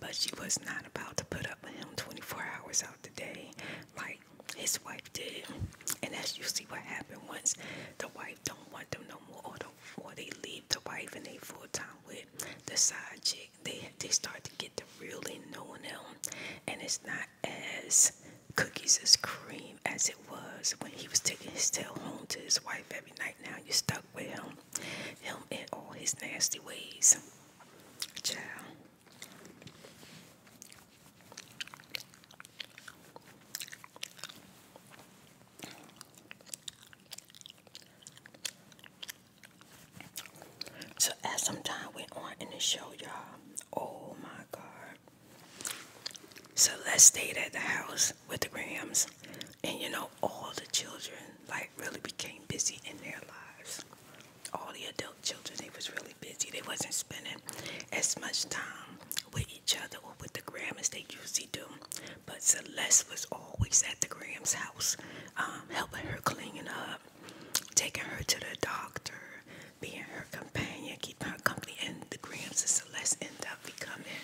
But she was not about to put up with him 24 hours out the day like his wife did. And as you see, what happened once the wife don't want them no more or, the, they leave the wife and they full time with the side chick. They, they start to get to really knowing them. And it's not as cookies as cream as it was when he was taking his tail home to his wife every night. Now you stuck with him, him and all his nasty ways. Child. So as some time went on in the show, y'all, oh my God. So let's stayed at the house with the Grams. And you know, all the children like really became busy in their lives all the adult children they was really busy they wasn't spending as much time with each other or with the gram as they usually do but celeste was always at the gram's house um, helping her clean up taking her to the doctor being her companion keeping her company and the grams and celeste end up becoming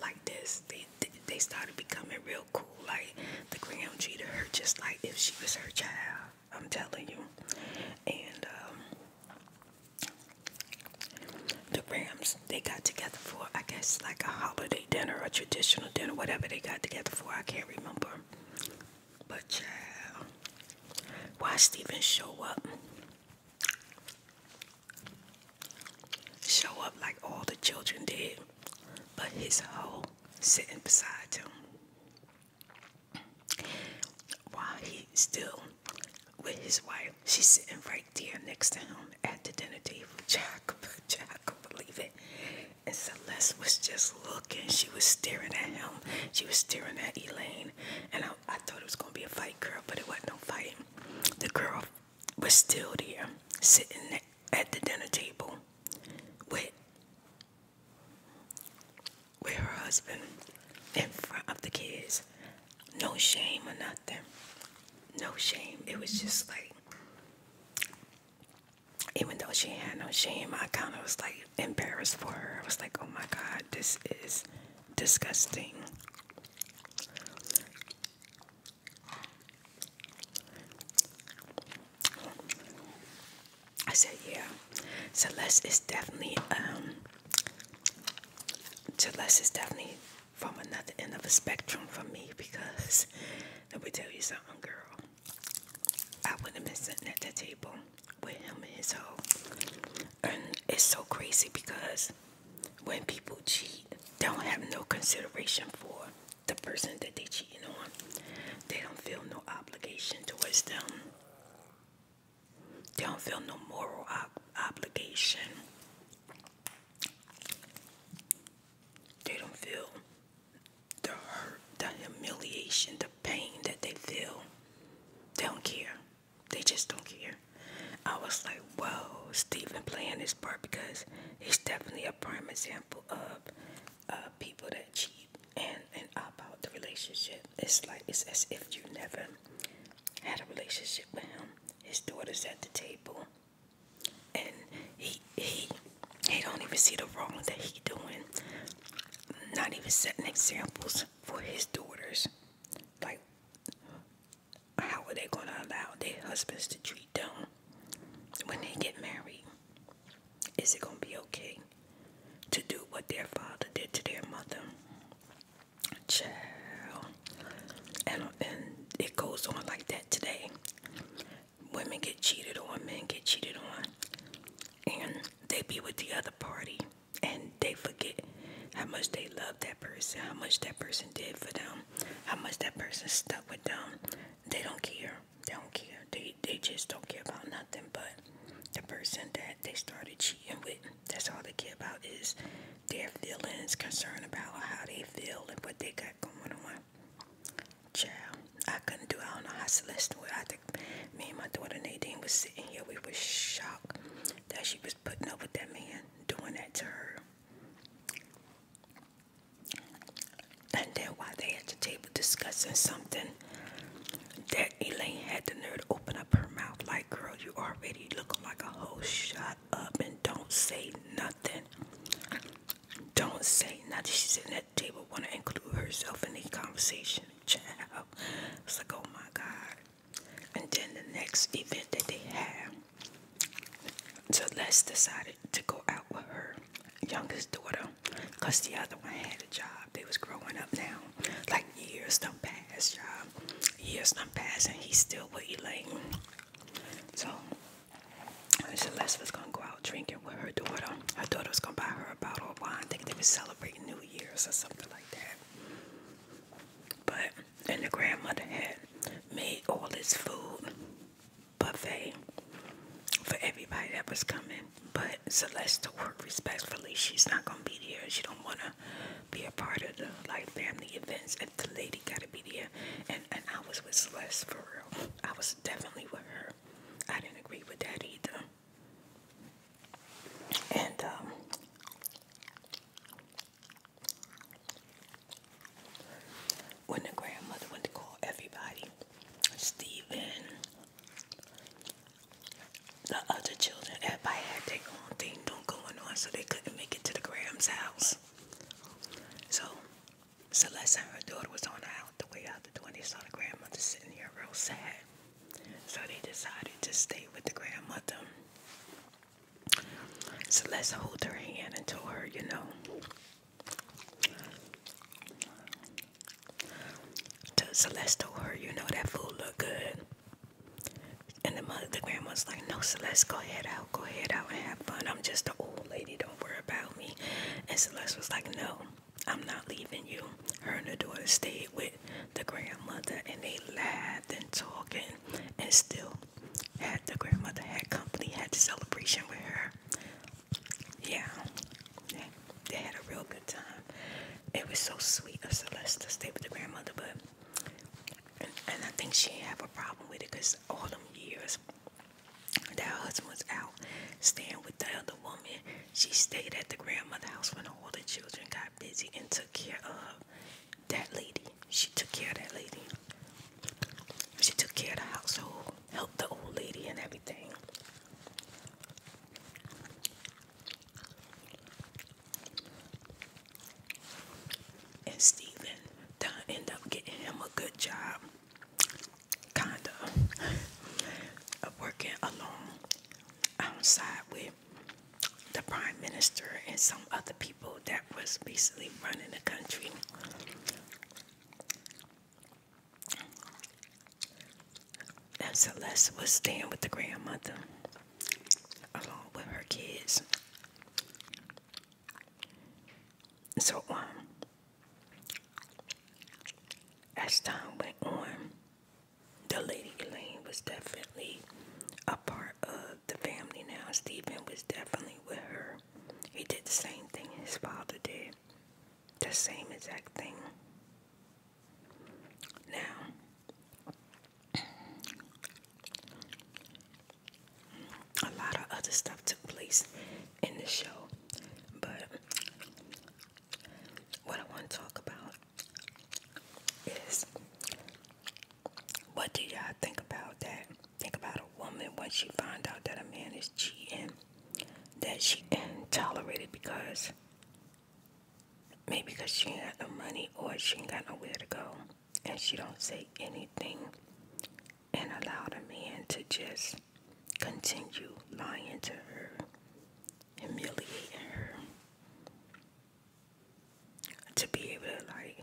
like this they they started becoming real cool like the gram treated her just like if she was her child I'm telling you. And um, the Rams, they got together for, I guess, like a holiday dinner, a traditional dinner, whatever they got together for. I can't remember. But child, why Steven show up? Show up like all the children did, but his whole sitting beside him. While he's still with his wife, she's sitting right there next to him at the dinner table. Jack, Jack, could believe it. And Celeste was just looking. She was staring at him. She was staring at Elaine. And I, I thought it was going to be a fight, girl, but it wasn't no fight. The girl was still there, sitting at the dinner table with with her husband in front of the kids. No shame or nothing. No shame. It was just like, even though she had no shame, I kind of was like embarrassed for her. I was like, oh my God, this is disgusting. I said, yeah. Celeste is definitely, um, Celeste is definitely from another end of the spectrum for me because let me tell you something, girl. I would have been sitting at the table with him and his hoe. And it's so crazy because when people cheat, they don't have no consideration for the person that they are cheating on, they don't feel no obligation towards them. They don't feel no moral obligation. They don't feel the hurt, the humiliation, the pain that they feel. They don't care. They just don't care. I was like, whoa, Stephen playing this part because he's definitely a prime example of uh, people that cheat and and opt out the relationship. It's like it's as if you never had a relationship with him. His daughter's at the table, and he he he don't even see the wrong that he doing. Not even setting examples for his daughters. Like, how are they gonna allow their husbands to treat them when they get married? Is it going to be okay to do what their father did to their mother? Child. And, and it goes on like that today. Women get cheated on, men get cheated on, and they be with the other party and they forget how much they love that person, how much that person did for them, how much that person stuck with them. They don't care. They don't care. They they just don't care about nothing but the person that they started cheating with. That's all they care about is their feelings, concern about how they feel and what they got going on. Child, I couldn't do. I don't know how Celeste would. I think me and my daughter Nadine was sitting here. We were shocked that she was putting up with that man doing that to her. And then while they at the table discussing something, that Elaine had the nerve to open up her mouth like, girl, you already looking like a hoe. shot up and don't say nothing. Don't say nothing. She's sitting at the table, want to include herself in the conversation. It's like, oh my God. And then the next event that they have, so Les decided to go out with her youngest daughter. Cause the other one had a job. They was growing up now. Like years done pass, y'all. Years done passed and he's still with Elaine. So Celeste was gonna go out drinking with her daughter. Her daughter was gonna buy her a bottle of wine. thinking they were celebrating New Year's or something like that. But and the grandmother had made all this food buffet for everybody that was coming. But Celeste to work respectfully. She's not gonna be there. She don't wanna be a part of the like family events. If the lady gotta be there, and and I was with Celeste for real. I was definitely with her. I didn't agree with that either. And um, when the grandmother went to call everybody, Stephen, the other children, everybody had their own thing going on, so they couldn't make it to the Graham's house. So Celeste and her daughter was on out the way out the door, and they saw the grandmother sitting here real sad. So they decided to stay with the grandmother. Celeste held her hand and told her, you know, to Celeste told her, you know, that fool look good. And the mother, the grandmother's like, no, Celeste, go ahead out, go ahead out and have fun. I'm just an old lady, don't worry about me. And Celeste was like, no, I'm not leaving you. Her and her daughter stayed with the grandmother and they laughed and talking and still had the grandmother had company, had the celebration with her yeah, they had a real good time. It was so sweet of Celeste to stay with the grandmother, but and, I think she didn't have a problem with it because all them years that her husband was out staying with the other woman, she stayed at the grandmother's house when all the children got busy and took care of that lady. She took care of that lady. She took care of the household, helped the old lady and everything. And Stephen to end up getting him a good job, kinda, of working along outside with the prime minister and some other people that was basically running the country. And Celeste was staying with the grandmother along with her kids. So, um, as time went on, the lady Elaine was definitely a part of the family now. Stephen was definitely with her. He did the same thing his father did the same exact thing. Now, a lot of other stuff took place in the show, but what I want to talk about is what do y'all think about that? Think about a woman when she find out that a man is cheating that she tolerated because Maybe because she ain't got no money or she ain't got nowhere to go. And she don't say anything and allow the man to just continue lying to her, humiliating her. To be able to like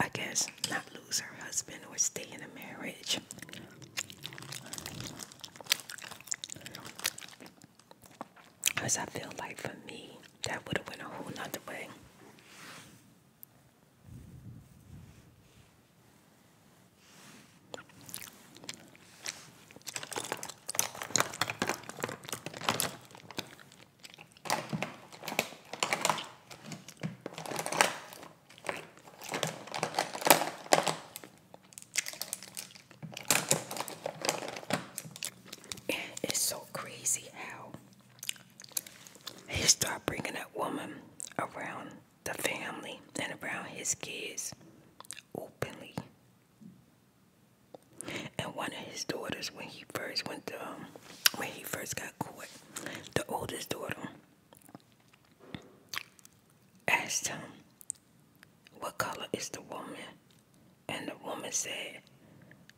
I guess not lose her husband or stay in the marriage. Cause I feel like for me, that would have went a whole nother way. It's so crazy how he started bringing that woman around the family and around his kids openly. And one of his daughters, when he first went to, um, when he first got caught, the oldest daughter asked him what color is the woman? And the woman said,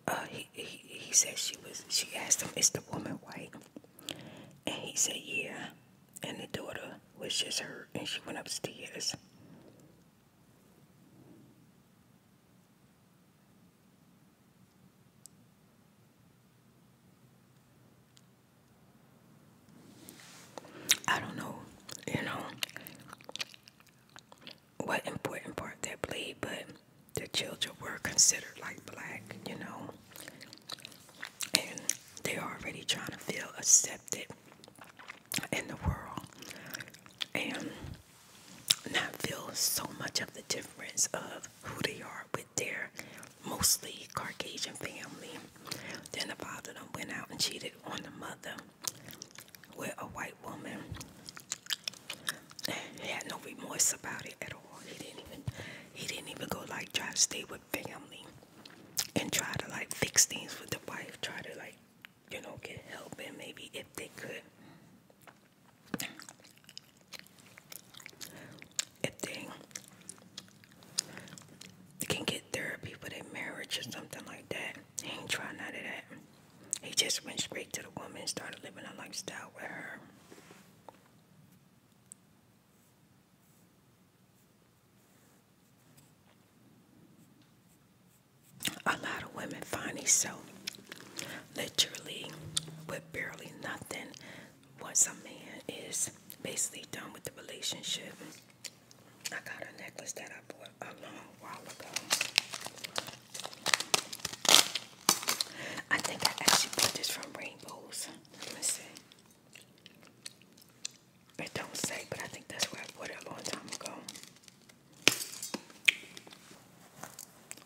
uh, he, said she was, she asked him, is the woman white? And he said, yeah. And the daughter was just her, and she went upstairs. I don't know, you know, what important part they played, but the children were considered like black, you know, and they're already trying to feel accepted in the world and not feel so much of the difference of who they are with their mostly Caucasian family. Then the father done went out and cheated on the mother with a white woman. He had no remorse about it at all. He didn't even he didn't even go like try to stay with family and try to like fix things with the wife, try to like, you know, get help and maybe if they could. If they they can get therapy for their marriage or something like that. He ain't trying none of that. He just went straight to the woman and started living a lifestyle with her. A lot of women find themselves literally with barely nothing once a man is basically done with the relationship. I got a necklace that I bought a long while ago. I think I actually bought this from Rainbows. Let me see. It don't say, but I think that's where I bought it a long time ago.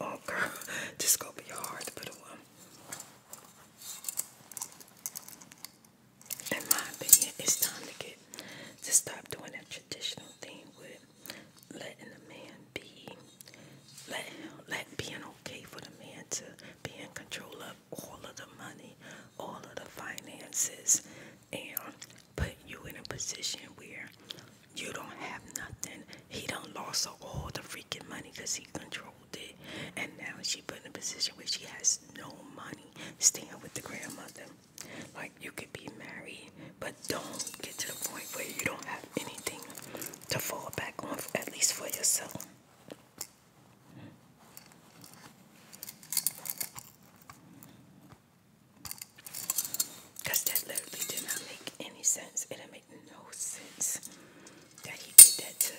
Oh girl, this gonna be hard to put on in my opinion, it's time to get to stop doing that traditional thing with letting a man be, let let being okay for the man to be in control of all of the money, all of the finances, and put you in a position where you don't have nothing. He don't lost all the freaking money because he controlled it, and now she put in a position where she has no money staying with the grandmother. Like you could be married, but don't get to the point where you don't have anything to fall back on, at least for yourself. Because that literally did not make any sense. It did no sense that he did that to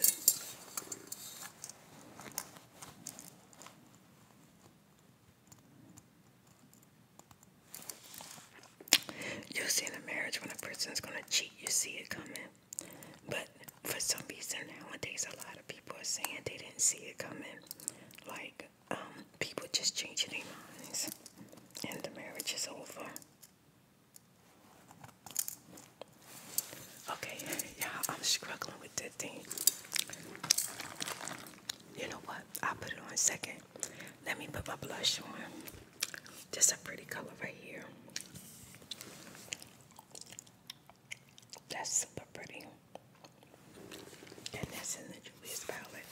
you see in a marriage when a person is going to cheat, you see it coming. But for some reason nowadays, a lot of people are saying they didn't see it coming. Like, um, people just change their minds, and the marriage is over. Okay, you I'm struggling you know what? I'll put it on second. Let me put my blush on. Just a pretty color right here. That's super pretty. And that's in the Julius palette.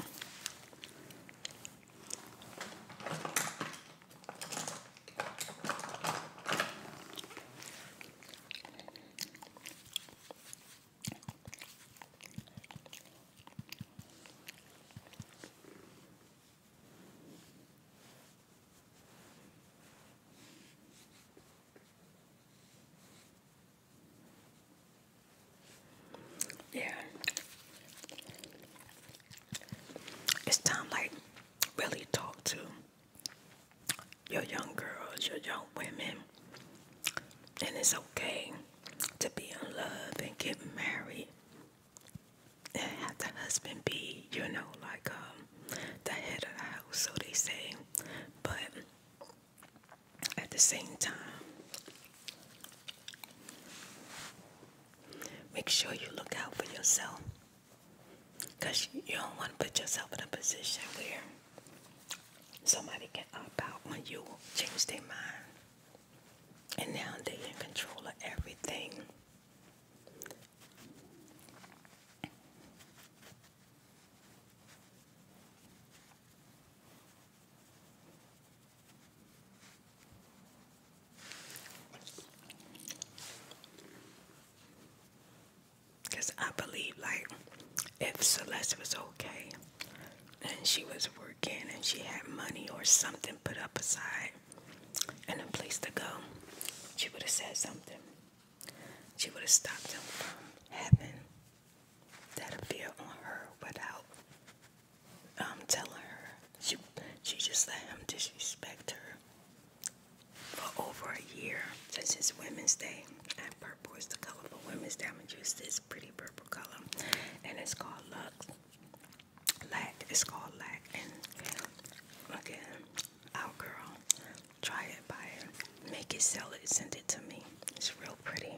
Yeah. It's time like really talk to your young girls, your young women, and it's okay to be in love and get married and have the husband be, you know, like um the head of the house, so they say. But at the same time, make sure you look out for yourself because you don't want to put yourself in a position where Somebody can opt out when you change their mind. And now they are in control of everything. Cause I believe like if Celeste was okay and she was working and she had money or something put up aside and a place to go, she would have said something. She would have stopped him from having that appear on her without um telling her. She she just let him disrespect her for over a year since it's Women's Day. And purple is the color for Women's Day. I'm just this pretty purple color, and it's called Lux. Lack. It's called Lack. And again, our girl, try it, buy it, make it, sell it, send it to me. It's real pretty.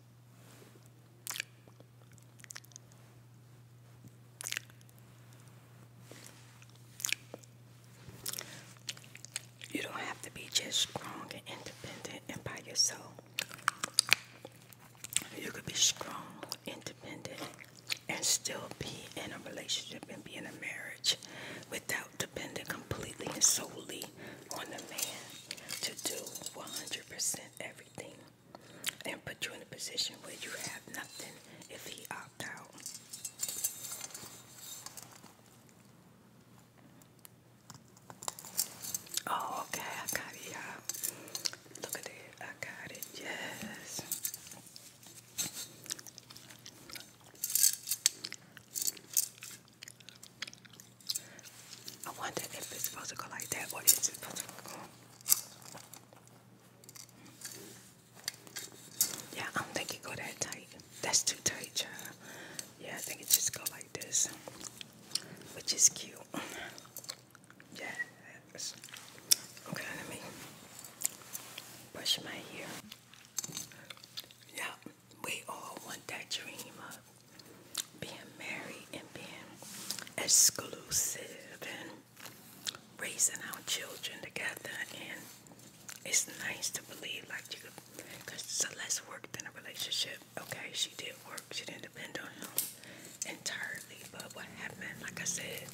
You don't have to be just strong and independent and by yourself. You could be strong, and independent, and still be in a relationship and be in a marriage without depending completely and solely on the man to do 100% everything and put you in a position where you have nothing if he opt out. Oh, okay, I got you Look at it, I got it, yes. I wonder if it's supposed to go like that or is supposed to go yeah, I don't think it go that tight. That's too tight, child. Yeah, I think it just go like this, which is cute. Yes. Okay, let me brush my hair. Yeah, we all want that dream being married and being exclusive and raising our children together and it's nice to believe like you could because it's less work than a relationship okay she did work she didn't depend on him entirely but what happened like I said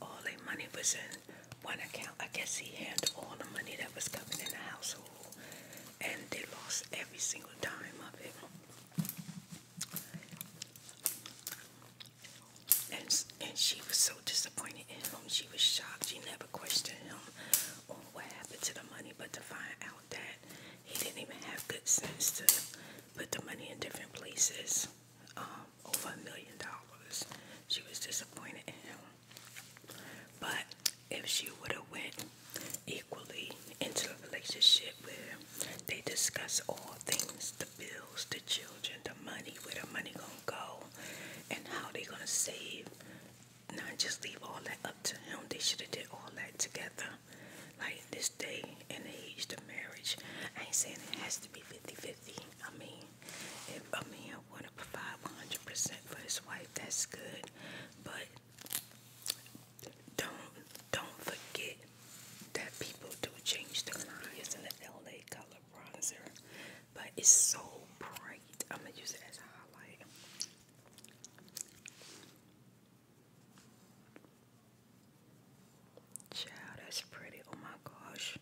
all their money was in one account I guess he handled all the money that was coming in the household and they lost every single dime of it and, and she was so disappointed in him. She was shocked. She never questioned him on what happened to the money, but to find out that he didn't even have good sense to put the money in different places um, over a million dollars. She was disappointed in him. But if she would have went equally into a relationship where they discuss all things the bills, the children, the money, where the money gonna go, and how they gonna save. Not just leave all that up to him. They should have did all that together. Like this day and age, the marriage. I ain't saying it has to be 50-50. I mean, if a man wanna provide 100% for his wife, that's good. But don't don't forget that people do change the line. It's in the LA color bronzer, but it's so bright. I'm gonna use it as a highlight. Child, that's pretty. Oh my gosh.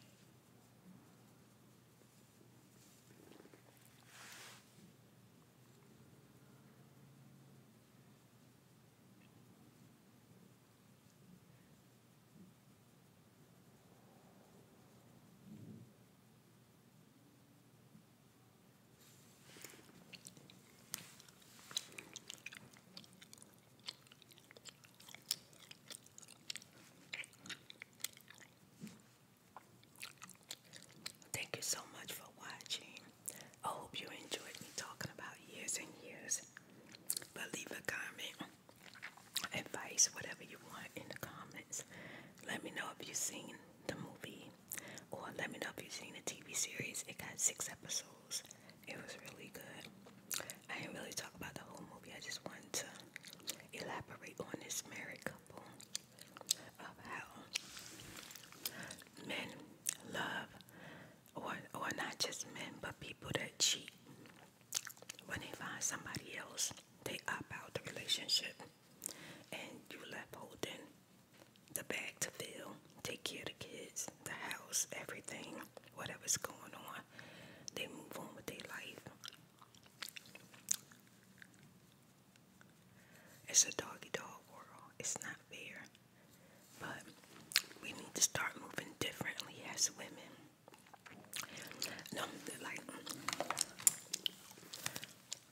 Thank you so much for watching. I hope you enjoyed me talking about years and years. But leave a comment, advice, whatever you want in the comments. Let me know if you've seen the movie or let me know if you've seen the TV series. It got six episodes. It was really good. I didn't really talk about the whole movie. I just wanted to elaborate on this married couple of how men love or or not just men, but people that cheat. When they find somebody else, they opt out the relationship, and you left holding the bag to fill. Take care of the kids, the house, everything, whatever's going on. They move on with their life. It's a doggy dog world. It's not fair. But we need to start moving differently as women. No, like,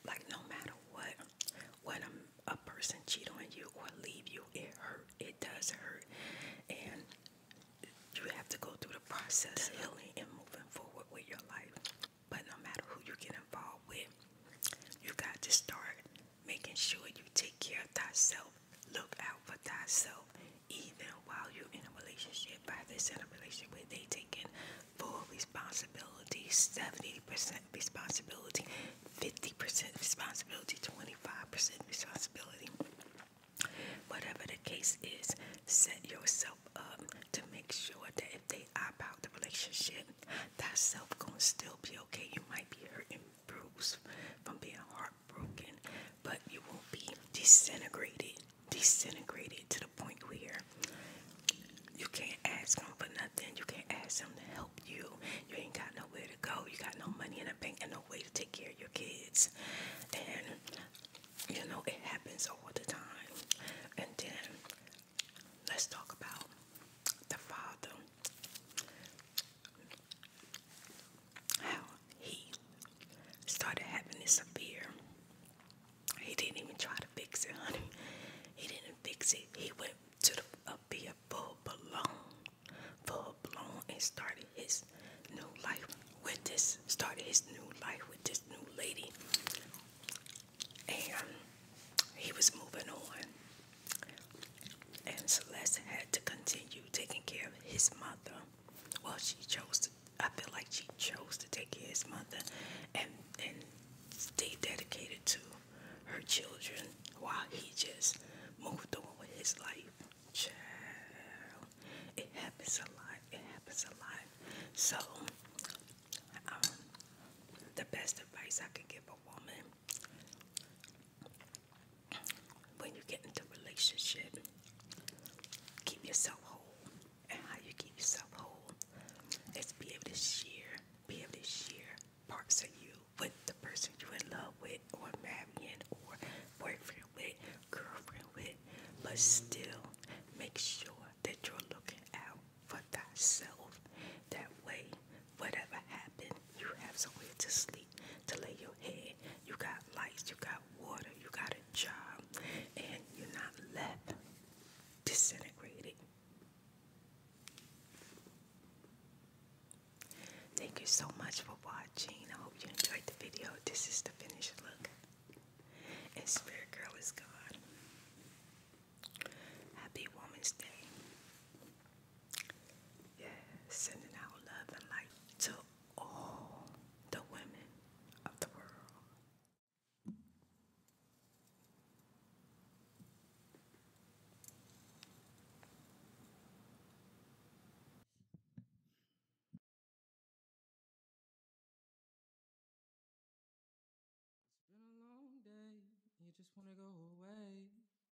like no matter what, when a, person cheat on you or leave you, it hurt. It does hurt, and you have to go through the process of healing and moving forward with your life. But no matter who you get involved with, you got to start making sure you take care of thyself, look out for thyself, even while you're in a relationship. By this, in a relationship where they taking full responsibility, 70% responsibility, 50% responsibility, 25% responsibility. Whatever the case is, set yourself up to make sure that if they opt out the relationship, thyself gonna still be okay. You might be hurting bruised from being heartbroken, but you will be disintegrated, disintegrated to the point where you can't ask them for nothing. You can't ask them to help you. You ain't got nowhere to go. You got no money in the bank and no way to take care of your kids. And you know it happens all the time. And then let's talk about the father how he started having this severe. He didn't even try to fix it, honey. He didn't fix it. He went to the up here full blown, full blown, and started his new life with this. Started his new life with this new lady, and he was moving on. And Celeste had to continue taking care of his mother. while she chose to, I feel like she chose to take care of his mother and, and stay dedicated to her children while he just moved on with his life. Child, it happens a lot. It happens a lot. So, um, the best advice I can give a woman when you get into relationship, keep yourself whole. And how you keep yourself whole is be able to share, be able to share parts of you with the person you're in love with or marrying or boyfriend with, girlfriend with, but still make sure that you're looking out for thyself. That way, whatever happened, you have somewhere to sleep to lay your head. You got lights, you got water, you got a job, and you're not left disintegrated. Thank you so much for watching. I hope you enjoyed the video. This is the finished look. And Spirit Girl is God. Happy Woman's Day. Yeah, sending out love and light to all the women of the world. It's been a long day, you just want to go away.